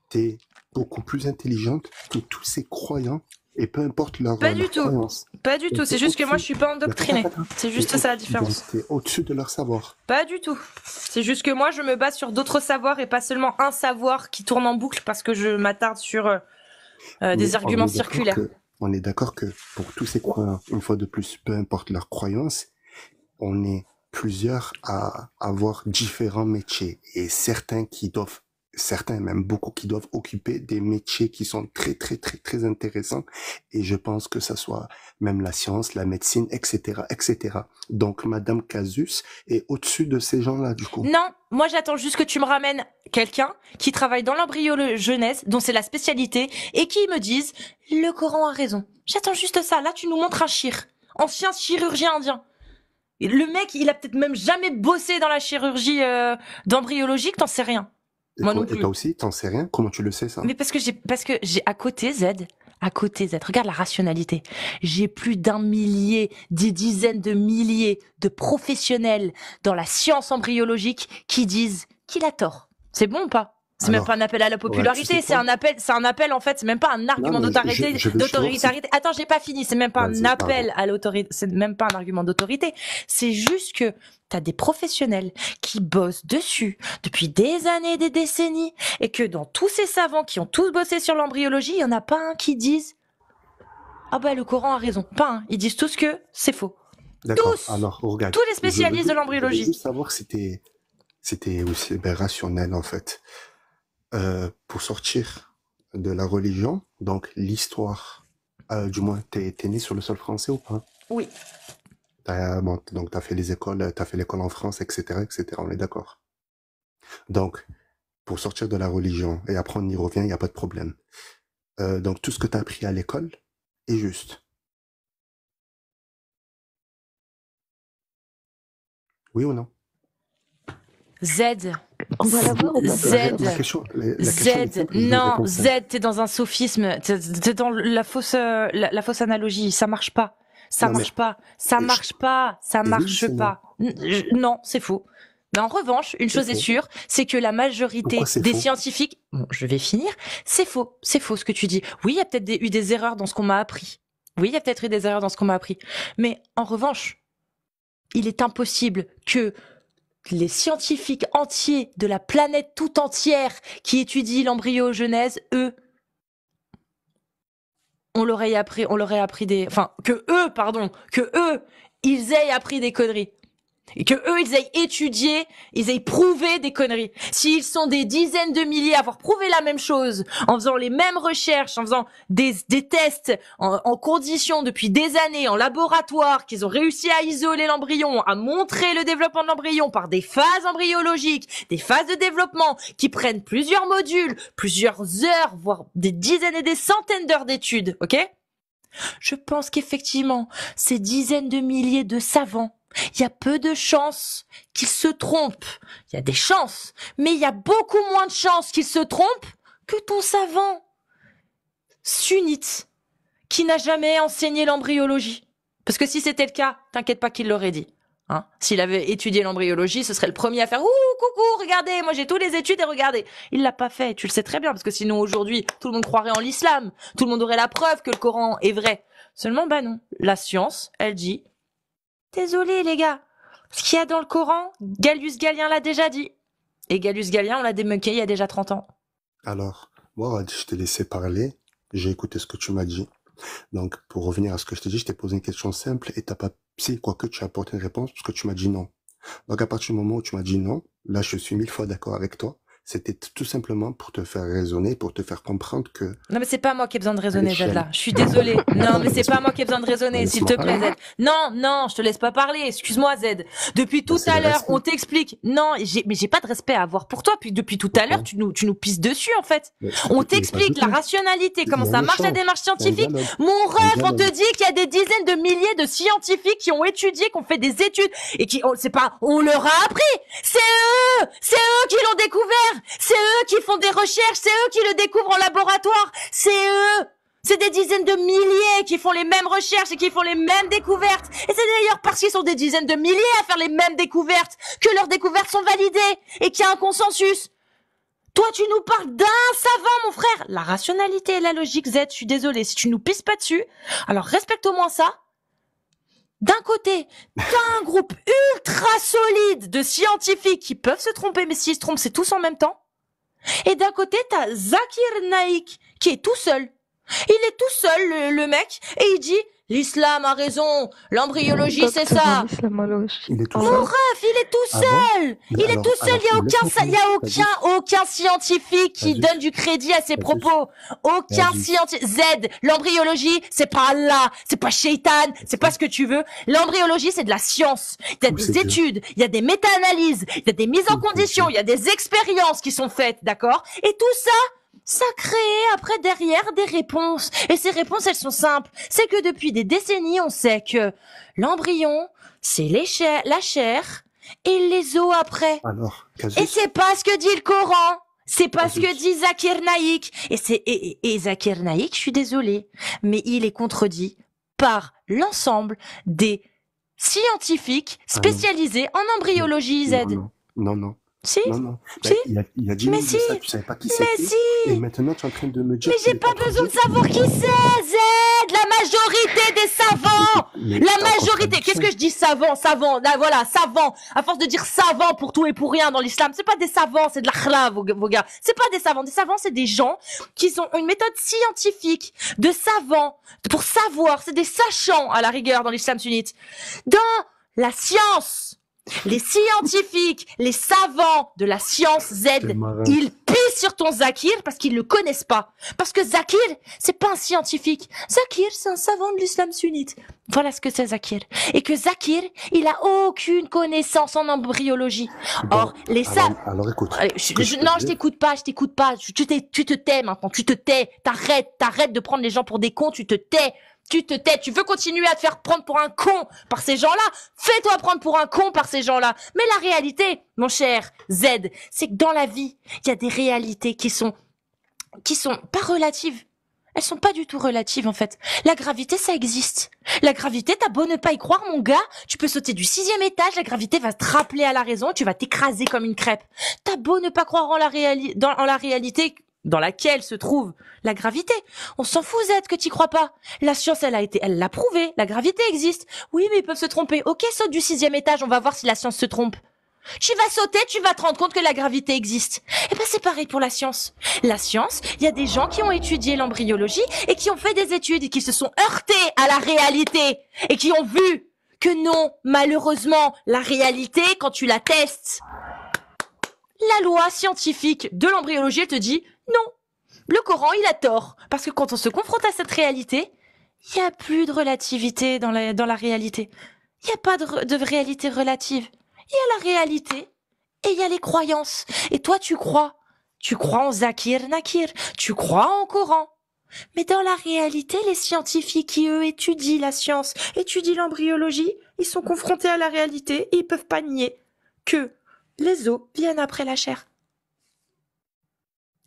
t'es beaucoup plus intelligente que tous ces croyants et peu importe leur Pas du tout. Pas du tout. C'est juste que moi, je suis pas endoctrinée. C'est juste ça la différence. es au-dessus de leur savoir. Pas du tout. C'est juste que moi, je me base sur d'autres savoirs et pas seulement un savoir qui tourne en boucle parce que je m'attarde sur euh, euh, des arguments circulaires. on est d'accord que pour tous ces croyants, une fois de plus, peu importe leur croyance, on est plusieurs à avoir différents métiers et certains qui doivent certains, même beaucoup, qui doivent occuper des métiers qui sont très, très, très, très intéressants. Et je pense que ça soit même la science, la médecine, etc., etc. Donc, Madame Casus est au-dessus de ces gens-là, du coup. Non, moi, j'attends juste que tu me ramènes quelqu'un qui travaille dans l'embryologie jeunesse, dont c'est la spécialité, et qui me dise, le Coran a raison. J'attends juste ça. Là, tu nous montres un chir, ancien chirurgien indien. Le mec, il a peut-être même jamais bossé dans la chirurgie embryologique, d'embryologique, t'en sais rien. Moi non plus. toi aussi, t'en sais rien Comment tu le sais ça Mais parce que j'ai parce que j'ai à côté Z, à côté Regarde la rationalité. J'ai plus d'un millier, des dizaines de milliers de professionnels dans la science embryologique qui disent qu'il a tort. C'est bon ou pas c'est même pas un appel à la popularité, c'est un appel, c'est un appel en fait, c'est même pas un argument d'autorité, Attends, j'ai pas fini, c'est même pas un appel à l'autorité, c'est même pas un argument d'autorité. C'est juste que t'as des professionnels qui bossent dessus depuis des années, des décennies, et que dans tous ces savants qui ont tous bossé sur l'embryologie, il n'y en a pas un qui dise Ah bah le Coran a raison. Pas un. Ils disent tous que c'est faux. Tous Tous les spécialistes de l'embryologie. Je juste savoir c'était c'était rationnel en fait. Euh, pour sortir de la religion, donc l'histoire, euh, du moins, t'es es né sur le sol français ou pas Oui. donc, tu as fait les écoles, tu fait l'école en France, etc., etc. On est d'accord. Donc, pour sortir de la religion et apprendre, on y revient, il n'y a pas de problème. Euh, donc, tout ce que tu as appris à l'école est juste. Oui ou non Z. Z. Z. non, Z, t'es dans un sophisme. es dans la fausse, la, fausse analogie. Ça marche pas. Ça marche pas. Ça marche pas. Ça marche pas. Non, c'est faux. Mais en revanche, une chose est sûre, c'est que la majorité des scientifiques, bon, je vais finir, c'est faux, c'est faux ce que tu dis. Oui, il y a peut-être eu des erreurs dans ce qu'on m'a appris. Oui, il y a peut-être eu des erreurs dans ce qu'on m'a appris. Mais en revanche, il est impossible que les scientifiques entiers de la planète tout entière qui étudient l'embryogenèse, eux, on leur appris, on l'aurait appris des, enfin que eux, pardon, que eux, ils aient appris des conneries. Et que eux, ils aient étudié, ils aient prouvé des conneries. S'ils sont des dizaines de milliers à avoir prouvé la même chose, en faisant les mêmes recherches, en faisant des, tests en, en conditions depuis des années, en laboratoire, qu'ils ont réussi à isoler l'embryon, à montrer le développement de l'embryon par des phases embryologiques, des phases de développement qui prennent plusieurs modules, plusieurs heures, voire des dizaines et des centaines d'heures d'études, ok Je pense qu'effectivement, ces dizaines de milliers de savants, il y a peu de chances qu'ils se trompent. Il y a des chances, mais il y a beaucoup moins de chances qu'ils se trompent que ton savant sunnite qui n'a jamais enseigné l'embryologie. Parce que si c'était le cas, t'inquiète pas qu'il l'aurait dit. Hein. S'il avait étudié l'embryologie, ce serait le premier à faire ouh coucou, regardez, moi j'ai tous les études et regardez. Il l'a pas fait, tu le sais très bien, parce que sinon aujourd'hui tout le monde croirait en l'islam, tout le monde aurait la preuve que le Coran est vrai. Seulement bah non, la science, elle dit, désolé les gars, ce qu'il y a dans le Coran, Galius Gallien l'a déjà dit. Et Galius Gallien, on l'a démonqué il y a déjà 30 ans. Alors, moi je t'ai laissé parler, j'ai écouté ce que tu m'as dit. Donc, pour revenir à ce que je te dis, je t'ai posé une question simple et t'as pas, si, quoique tu as apporté une réponse parce que tu m'as dit non. Donc, à partir du moment où tu m'as dit non, là, je suis mille fois d'accord avec toi. C'était tout simplement pour te faire raisonner, pour te faire comprendre que. Non, mais c'est pas moi qui ai besoin de raisonner, Zed, là. Je suis désolée. non, mais c'est pas moi qui ai besoin de raisonner, s'il te plaît, Non, non, je te laisse pas parler. Excuse-moi, Zed. Depuis tout à l'heure, on t'explique. Non, mais j'ai pas de respect à avoir pour toi. Puis depuis tout à l'heure, tu nous, tu nous pisses dessus, en fait. On t'explique la rationalité, comment ça marche la démarche scientifique. Mon ref, on te dit qu'il y a des dizaines de milliers de scientifiques qui ont étudié, qui ont fait des études et qui, on oh, pas, on leur a appris. C'est eux, c'est eux qui l'ont découvert. C'est eux qui font des recherches, c'est eux qui le découvrent en laboratoire. C'est eux. C'est des dizaines de milliers qui font les mêmes recherches et qui font les mêmes découvertes. Et c'est d'ailleurs parce qu'ils sont des dizaines de milliers à faire les mêmes découvertes que leurs découvertes sont validées et qu'il y a un consensus. Toi, tu nous parles d'un savant, mon frère La rationalité et la logique Z, je suis désolé si tu nous pisses pas dessus, alors respecte au moins ça. D'un côté, t'as un groupe ultra solide de scientifiques qui peuvent se tromper, mais s'ils se trompent, c'est tous en même temps. Et d'un côté, t'as Zakir Naik, qui est tout seul. Il est tout seul, le mec, et il dit, l'islam a raison, L'embryologie, c'est ça. Il est tout seul. il est tout seul. il est tout seul. Il n'y a, aucun, aucun, scientifique qui donne du crédit à ses propos. Aucun scientifique. Z, l'embryologie, c'est pas Allah, c'est pas Shaitan, c'est pas ce que tu veux. L'embryologie, c'est de la science. Il y a des études, il y a des méta-analyses, il y a des mises en condition, il y a des expériences qui sont faites, d'accord? Et tout ça, ça crée après derrière des réponses. Et ces réponses, elles sont simples c'est que depuis des décennies, on sait que l'embryon, c'est la chair et les os après. et c'est pas ce que dit le Coran. C'est pas ce que dit Zakir Naik. Et c'est et, Zakir Naik, je suis désolée, mais il est contredit par l'ensemble des scientifiques ah spécialisés en embryologie Z. Non, non. Si, si. Bah, il a, si, savais pas qui c'était. Si. Et maintenant, tu es en train de me dire. Mais j'ai pas, besoin de savoir qui c'est, Z La majorité des savants La majorité Qu'est-ce que je dis savant Savant voilà, savant À force de dire savant pour tout et pour rien dans l'islam, c'est pas des savants, c'est de la vos, vos gars. C'est pas des savants. Des savants, c'est des gens qui ont une méthode scientifique de savants pour savoir. C'est des sachants, à la rigueur, dans l'islam sunnite. Dans la science les scientifiques, les savants de la science Z, ils pissent sur ton Zakir parce qu'ils le connaissent pas. Parce que Zakir, c'est pas un scientifique. Zakir, c'est un savant de l'islam sunnite. Voilà ce que c'est Zakir. Et que Zakir, il a aucune connaissance en embryologie. Or, les savants... Alors, non, je t'écoute pas, je t'écoute pas. Tu, te tais maintenant, tu te tais. t'arrête t'arrêtes de prendre les gens pour des cons, tu te tais. Tu te tais, tu veux continuer à te faire prendre pour un con par ces gens-là Fais-toi prendre pour un con par ces gens-là. Mais la réalité, mon cher Z, c'est que dans la vie, il y a des réalités qui sont qui sont pas relatives. Elles sont pas du tout relatives en fait. La gravité, ça existe. La gravité, t'as beau ne pas y croire, mon gars, tu peux sauter du sixième étage, la gravité va te rappeler à la raison, tu vas t'écraser comme une crêpe. T'as beau ne pas croire en la, en la réalité dans laquelle se trouve la gravité. On s'en fout, que t'y crois pas. La science, elle a été, elle l'a prouvé. La gravité existe. Oui, mais ils peuvent se tromper. Ok, saute du sixième étage. On va voir si la science se trompe. Tu vas sauter, tu vas te rendre compte que la gravité existe. Eh ben, c'est pareil pour la science. La science, il y a des gens qui ont étudié l'embryologie et qui ont fait des études et qui se sont heurtés à la réalité et qui ont vu que non, malheureusement, la réalité, quand tu la testes, la loi scientifique de l'embryologie, elle te dit non. Le Coran, il a tort. Parce que quand on se confronte à cette réalité, il n'y a plus de relativité dans la, réalité. Il n'y a pas de, réalité relative. Il y a la réalité et il y a les croyances. Et toi, tu crois. Tu crois en Zakir Nakir. Tu crois en Coran. Mais dans la réalité, les scientifiques qui, eux, étudient la science, étudient l'embryologie, ils sont confrontés à la réalité et ils peuvent pas nier que les os viennent après la chair.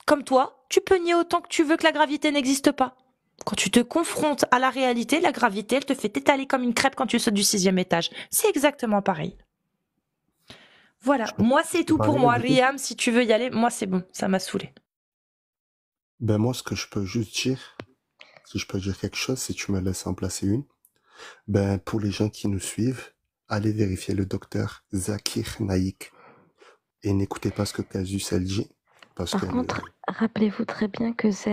Comme toi, tu peux nier autant que tu veux que la gravité n'existe pas. Quand tu te confrontes à la réalité, la gravité, elle te fait étaler comme une crêpe quand tu sautes du sixième étage. C'est exactement pareil. Voilà, moi c'est tout pour moi. Riam, si tu veux y aller, moi c'est bon, ça m'a saoulé. Ben moi, ce que je peux juste dire, si je peux dire quelque chose, si tu me laisses en placer une, ben, pour les gens qui nous suivent, allez vérifier le docteur Zakir Naik. Et n'écoutez pas ce que Casus elle dit. Par contre, rappelez-vous très bien que Z,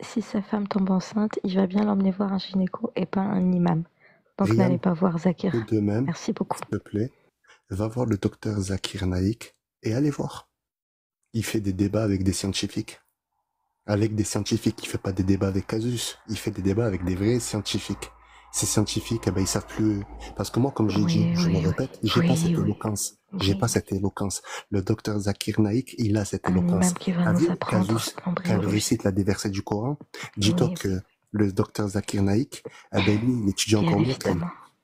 si sa femme tombe enceinte, il va bien l'emmener voir un gynéco et pas un imam. Donc n'allez pas voir Zakir. De même, Merci beaucoup. S'il te plaît, va voir le docteur Zakir Naik et allez voir. Il fait des débats avec des scientifiques avec des scientifiques. Il fait pas des débats avec Casus, il fait des débats avec des vrais scientifiques. Ces scientifiques, ils eh ben, ils savent plus. Parce que moi, comme je l'ai dit, je me répète, j'ai pas cette éloquence. J'ai pas cette éloquence. Le docteur Zakir Naik, il a cette éloquence. Casus, quand il récite la déversée du Coran, dis-toi que le docteur Zakir Naik, eh ben, lui, il étudie encore mieux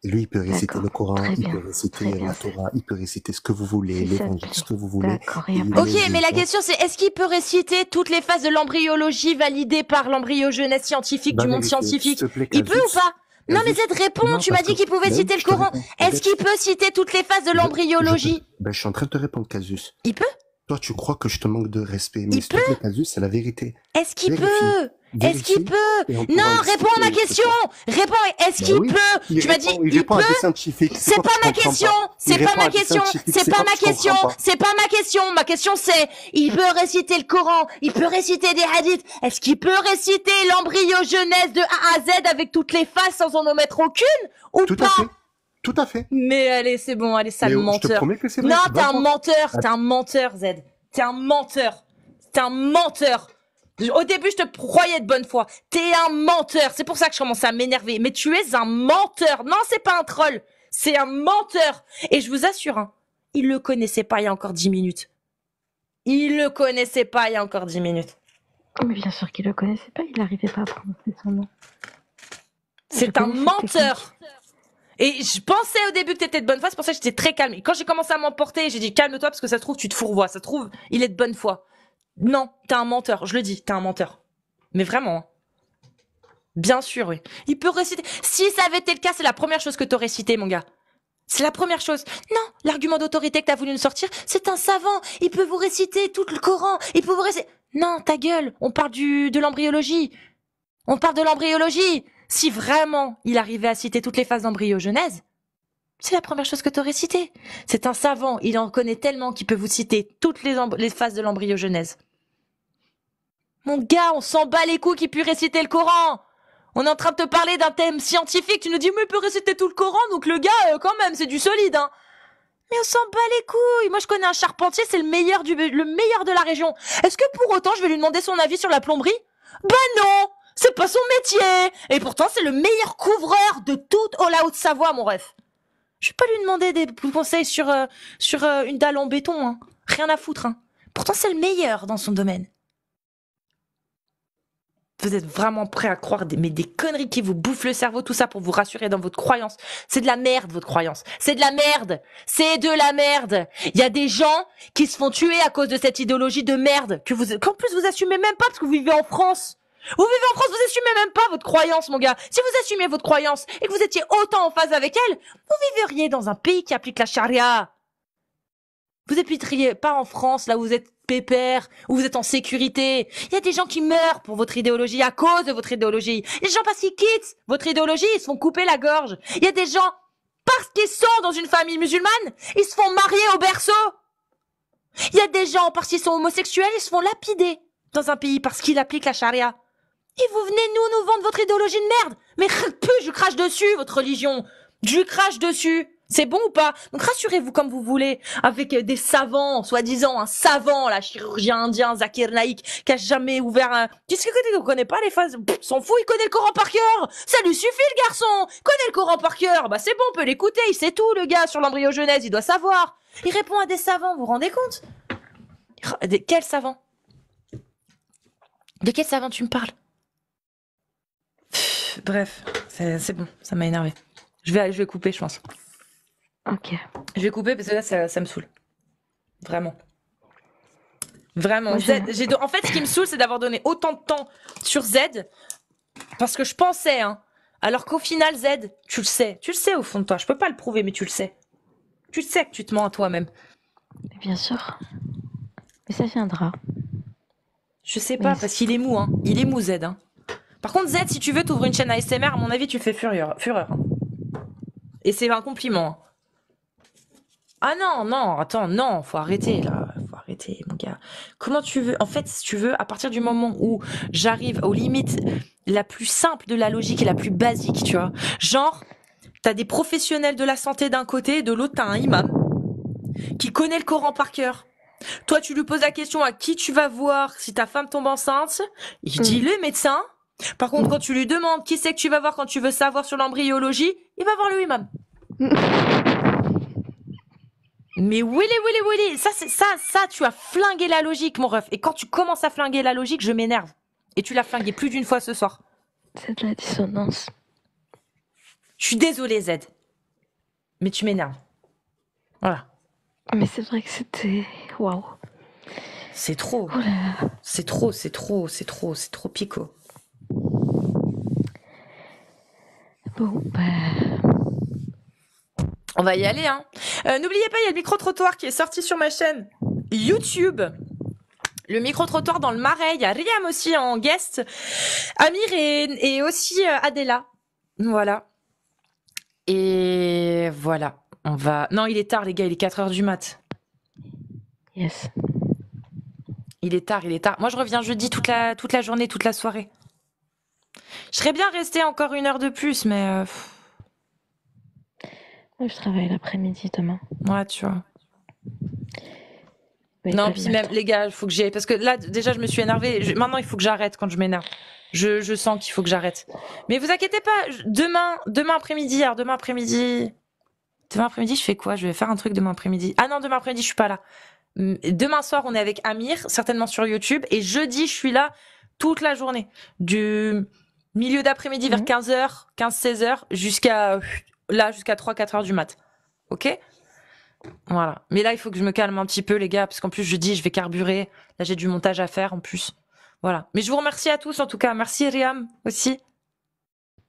Lui, il peut réciter le Coran, il peut réciter la Torah, il peut réciter ce que vous voulez, est ce que vous voulez. Ok, mais la question c'est est-ce qu'il peut réciter toutes les phases de l'embryologie validées par l'embryogenèse scientifique du bah, monde scientifique Il peut ou pas non mais cette réponds, tu m'as dit qu'il pouvait citer le Coran. Est-ce qu'il peut citer toutes les phases de l'embryologie bah, je suis en train de te répondre, Casus. Il peut Toi, tu crois que je te manque de respect, mais il peut Casus, c'est la vérité. Est-ce qu'il peut est-ce qu'il peut Non, réponds à ma question. Réponds. Est-ce bah qu'il peut Tu m'as dit il, il peut. C'est pas ma question c'est pas ma question, c'est pas ma question, hein. c'est pas ma question. Ma question c'est, il peut réciter le Coran, il peut réciter des hadiths. Est-ce qu'il peut réciter l'embryo jeunesse de A à Z avec toutes les faces sans en omettre aucune ou pas Tout à fait. Tout à fait. Mais allez, c'est bon, allez, sale menteur. Je Non, t'es un menteur, t'es un menteur, Z. T'es un menteur. T'es un menteur. Au début, je te croyais de bonne foi. T'es un menteur. C'est pour ça que je commence à m'énerver. Mais tu es un menteur. Non, c'est pas un troll. C'est un menteur. Et je vous assure, hein, il le connaissait pas il y a encore dix minutes. Il le connaissait pas il y a encore dix minutes. Oh, mais bien sûr qu'il le connaissait pas. Il n'arrivait pas à prononcer son nom. C'est un menteur. Et je pensais au début que t'étais de bonne foi, c'est pour ça que j'étais très calme. Et quand j'ai commencé à m'emporter, j'ai dit calme-toi parce que ça trouve tu te fourvoies, ça trouve il est de bonne foi. Non, t'es un menteur, je le dis, t'es un menteur. Mais vraiment. Hein. Bien sûr, Il peut réciter. Si ça avait été le cas, c'est la première chose que t'aurais cité, mon gars. C'est la première chose. Non, l'argument d'autorité que as voulu nous sortir, c'est un savant. Il peut vous réciter tout le Coran. Il peut vous réciter. Non, ta gueule. On parle du, de l'embryologie. On parle de l'embryologie. Si vraiment il arrivait à citer toutes les phases d'embryogenèse, c'est la première chose que t'aurais cité C'est un savant. Il en connaît tellement qu'il peut vous citer toutes les, phases de l'embryogenèse. Mon gars, on s'en bat les couilles qui puisse réciter le Coran On est en train de te parler d'un thème scientifique, tu nous dis mais il peut réciter tout le Coran, donc le gars, euh, quand même, c'est du solide, hein. mais on s'en bat les couilles. Moi, je connais un charpentier, c'est le meilleur du, le meilleur de la région. Est-ce que pour autant, je vais lui demander son avis sur la plomberie? Ben non! C'est pas son métier! Et pourtant, c'est le meilleur couvreur de toute la Haute-Savoie, mon ref. Je vais pas lui demander des conseils sur, euh, sur euh, une dalle en béton. Hein. Rien à foutre. Hein. Pourtant, c'est le meilleur dans son domaine. Vous êtes vraiment prêt à croire des, des conneries qui vous bouffent le cerveau, tout ça pour vous rassurer dans votre croyance. C'est de la merde, votre croyance. C'est de la merde. C'est de la merde. Il y a des gens qui se font tuer à cause de cette idéologie de merde que vous, qu'en plus vous assumez même pas parce que vous vivez en France. Vous vivez en France, vous assumez même pas votre croyance, mon gars. Si vous assumiez votre croyance et que vous étiez autant en phase avec elle, vous vivriez dans un pays qui applique la charia. Vous n'habiteriez pas en France, là où vous êtes pépère, où vous êtes en sécurité. Il y a des gens qui meurent pour votre idéologie, à cause de votre idéologie. Les gens parce qu'ils quittent votre idéologie, ils se font couper la gorge. Il y a des gens parce qu'ils sont dans une famille musulmane, ils se font marier au berceau. Il y a des gens, parce qu'ils sont homosexuels, ils se font lapider dans un pays parce qu'ils appliquent la charia. Et vous venez nous nous vendre votre idéologie de merde Mais je crache dessus, votre religion Je crache dessus c'est bon ou pas Donc rassurez-vous comme vous voulez, avec des savants, soi-disant un savant, la chirurgien indien Zakir Naik, qui a jamais ouvert un... Tu sais que tu connais pas les phases S'en fout, il connaît le Coran par cœur Ça lui suffit le garçon Connaît le Coran par cœur Bah c'est bon, on peut l'écouter, il sait tout le gars sur l'embryogenèse, il doit savoir il répond à des savants, vous rendez compte Des quels savant De quel savant tu me parles Bref, c'est bon, ça m'a énervé. Je vais, je vais couper, je pense. Ok. Je vais couper parce que là, ça, me saoule. Vraiment. Vraiment. j'ai en fait, ce qui me saoule, c'est d'avoir donné autant de temps sur Z parce que je pensais, hein, alors qu'au final, Z, tu le sais. Tu le sais au fond de toi. Je peux pas le prouver, mais tu le sais. Tu le sais que tu te mens à toi-même. Bien sûr. Mais ça viendra. Je sais pas, parce qu'il est mou, hein. Il est mou, Z. Hein. Par contre, Z, si tu veux t'ouvrir une chaîne ASMR, à mon avis, tu fais fureur. fureur hein. Et c'est un compliment. Hein. Ah non, non, attends, non, faut arrêter là, faut arrêter, mon gars. Comment tu veux En fait, si tu veux, à partir du moment où j'arrive aux limites la plus simple de la logique et la plus basique, tu vois. Genre, t'as des professionnels de la santé d'un côté de l'autre, t'as un imam qui connaît le Coran par cœur. Toi, tu lui poses la question à qui tu vas voir si ta femme tombe enceinte. Il mm. dit le médecin. Par contre, quand tu lui demandes qui c'est que tu vas voir quand tu veux savoir sur l'embryologie, il va voir le imam. Mais Willy, Willy, Willy, ça, c'est ça, ça, tu as flingué la logique, mon ref. Et quand tu commences à flinguer la logique, je m'énerve. Et tu l'as flingué plus d'une fois ce soir. C'est de la dissonance. Je suis désolée, Z. Mais tu m'énerves. Voilà. Mais c'est vrai que c'était. Waouh. C'est trop. c'est trop, c'est trop, c'est trop, c'est trop pico. Bon, bah. On va y aller. Hein. Euh, n'oubliez pas, il y a le micro-trottoir qui est sorti sur ma chaîne YouTube. Le micro-trottoir dans le marais. Il y a Riam aussi en guest. Amir et, aussi euh, Adela. Voilà. Et voilà. On va. Non, il est tard, les gars. Il est 4 heures du mat. Yes. Il est tard, il est tard. Moi, je reviens jeudi toute toute la journée, toute la soirée. Je serais bien restée encore une heure de plus, mais. Euh, je travaille l'après-midi demain. Ouais, tu vois. non, puis même, les gars, il faut que j'y Parce que là, déjà, je me suis énervé Maintenant, il faut que j'arrête quand je m'énerve. Je, sens qu'il faut que j'arrête. Mais vous inquiétez pas, demain, demain après-midi, alors demain après-midi. Demain après-midi, je fais quoi Je vais faire un truc demain après-midi. Ah non, demain après-midi, je suis pas là. Demain soir, on est avec Amir, certainement sur YouTube. Et jeudi, je suis là toute la journée, du milieu d'après-midi vers 15h, mhm. 15-16h, jusqu'à là, jusqu'à 3-4h du mat. Ok Voilà. Mais là, il faut que je me calme un petit peu, les gars, parce qu'en plus, je dis, je vais carburer. Là, j'ai du montage à faire en plus. Voilà. Mais je vous remercie à tous, en tout cas. Merci, Riam, aussi.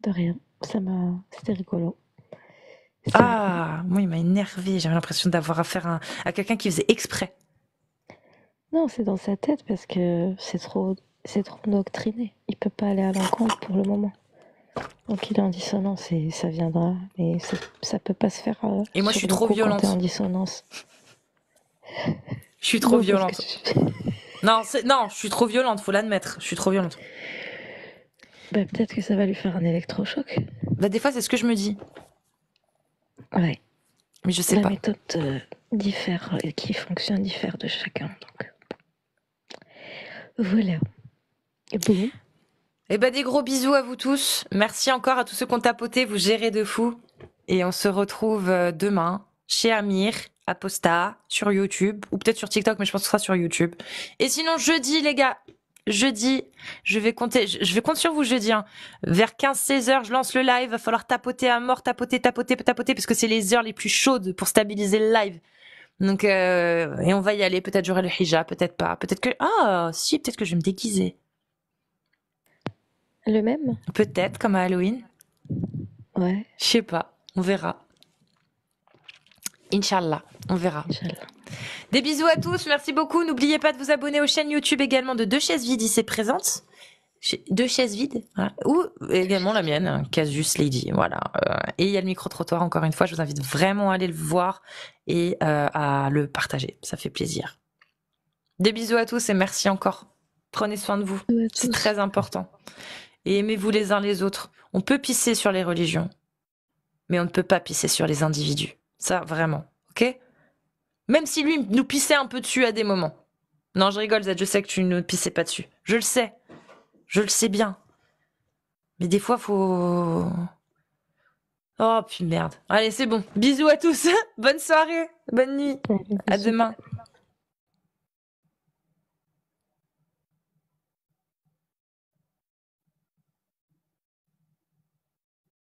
De rien. Ça m'a. C'était rigolo. Ah, moi, il m'a énervé. J'avais l'impression d'avoir affaire à quelqu'un qui faisait exprès. Non, c'est dans sa tête parce que c'est trop, c'est trop endoctriné. Il peut pas aller à l'encontre pour le moment. Donc il est en dissonance et ça viendra, mais ça, peut pas se faire. Euh, et moi je suis trop violente. En dissonance. Je suis trop violente. non, non, je suis trop violente, faut l'admettre. Je suis trop violente. Bah, peut-être que ça va lui faire un électrochoc. Bah, des fois, c'est ce que je me dis. Ouais. Mais je sais pas. La méthode euh, diffère, qui fonctionne diffère de chacun. Donc. Voilà. Bon. Eh ben des gros bisous à vous tous. Merci encore à tous ceux qui ont tapoté, vous gérez de fou. Et on se retrouve euh, demain chez Amir, à Posta, sur YouTube, ou peut-être sur TikTok, mais je pense que ce sera sur YouTube. Et sinon, jeudi, les gars, jeudi, je vais compter, je, vais compter sur vous jeudi. dis. Hein. Vers 15-16 heures, je lance le live. Va falloir tapoter à mort, tapoter, tapoter, tapoter, parce que c'est les heures les plus chaudes pour stabiliser le live. Donc, euh, et on va y aller. Peut-être j'aurai le hijab, peut-être pas. Peut-être que, ah, si, peut-être que je vais me déguiser. Le même Peut-être, comme à Halloween. Ouais. Je sais pas. On verra. Inch'Allah, on verra. des bisous à tous, merci beaucoup. N'oubliez pas vous abonner aux chaînes YouTube également de Deux Chaises Vides ici présentes. Deux chaises vides, ou également la mienne, hein, Casus Lady, voilà. Euh, et il y a le micro-trottoir, encore une fois, je vous invite vraiment à aller le voir et euh, à le partager, ça fait plaisir. Des bisous à tous et merci encore. Prenez soin de vous, c'est très important. Et aimez-vous les uns les autres. On peut pisser sur les religions, mais on ne peut pas pisser sur les individus. Ça, vraiment, ok même si lui nous pissait un peu dessus à des moments. Non, je rigole, Zed, je sais que tu ne nous pissais pas dessus. Je le sais. Je le sais bien. Mais des fois, faut. Oh, putain merde. Allez, c'est bon. Bisous à tous. bonne soirée. Bonne nuit. À demain.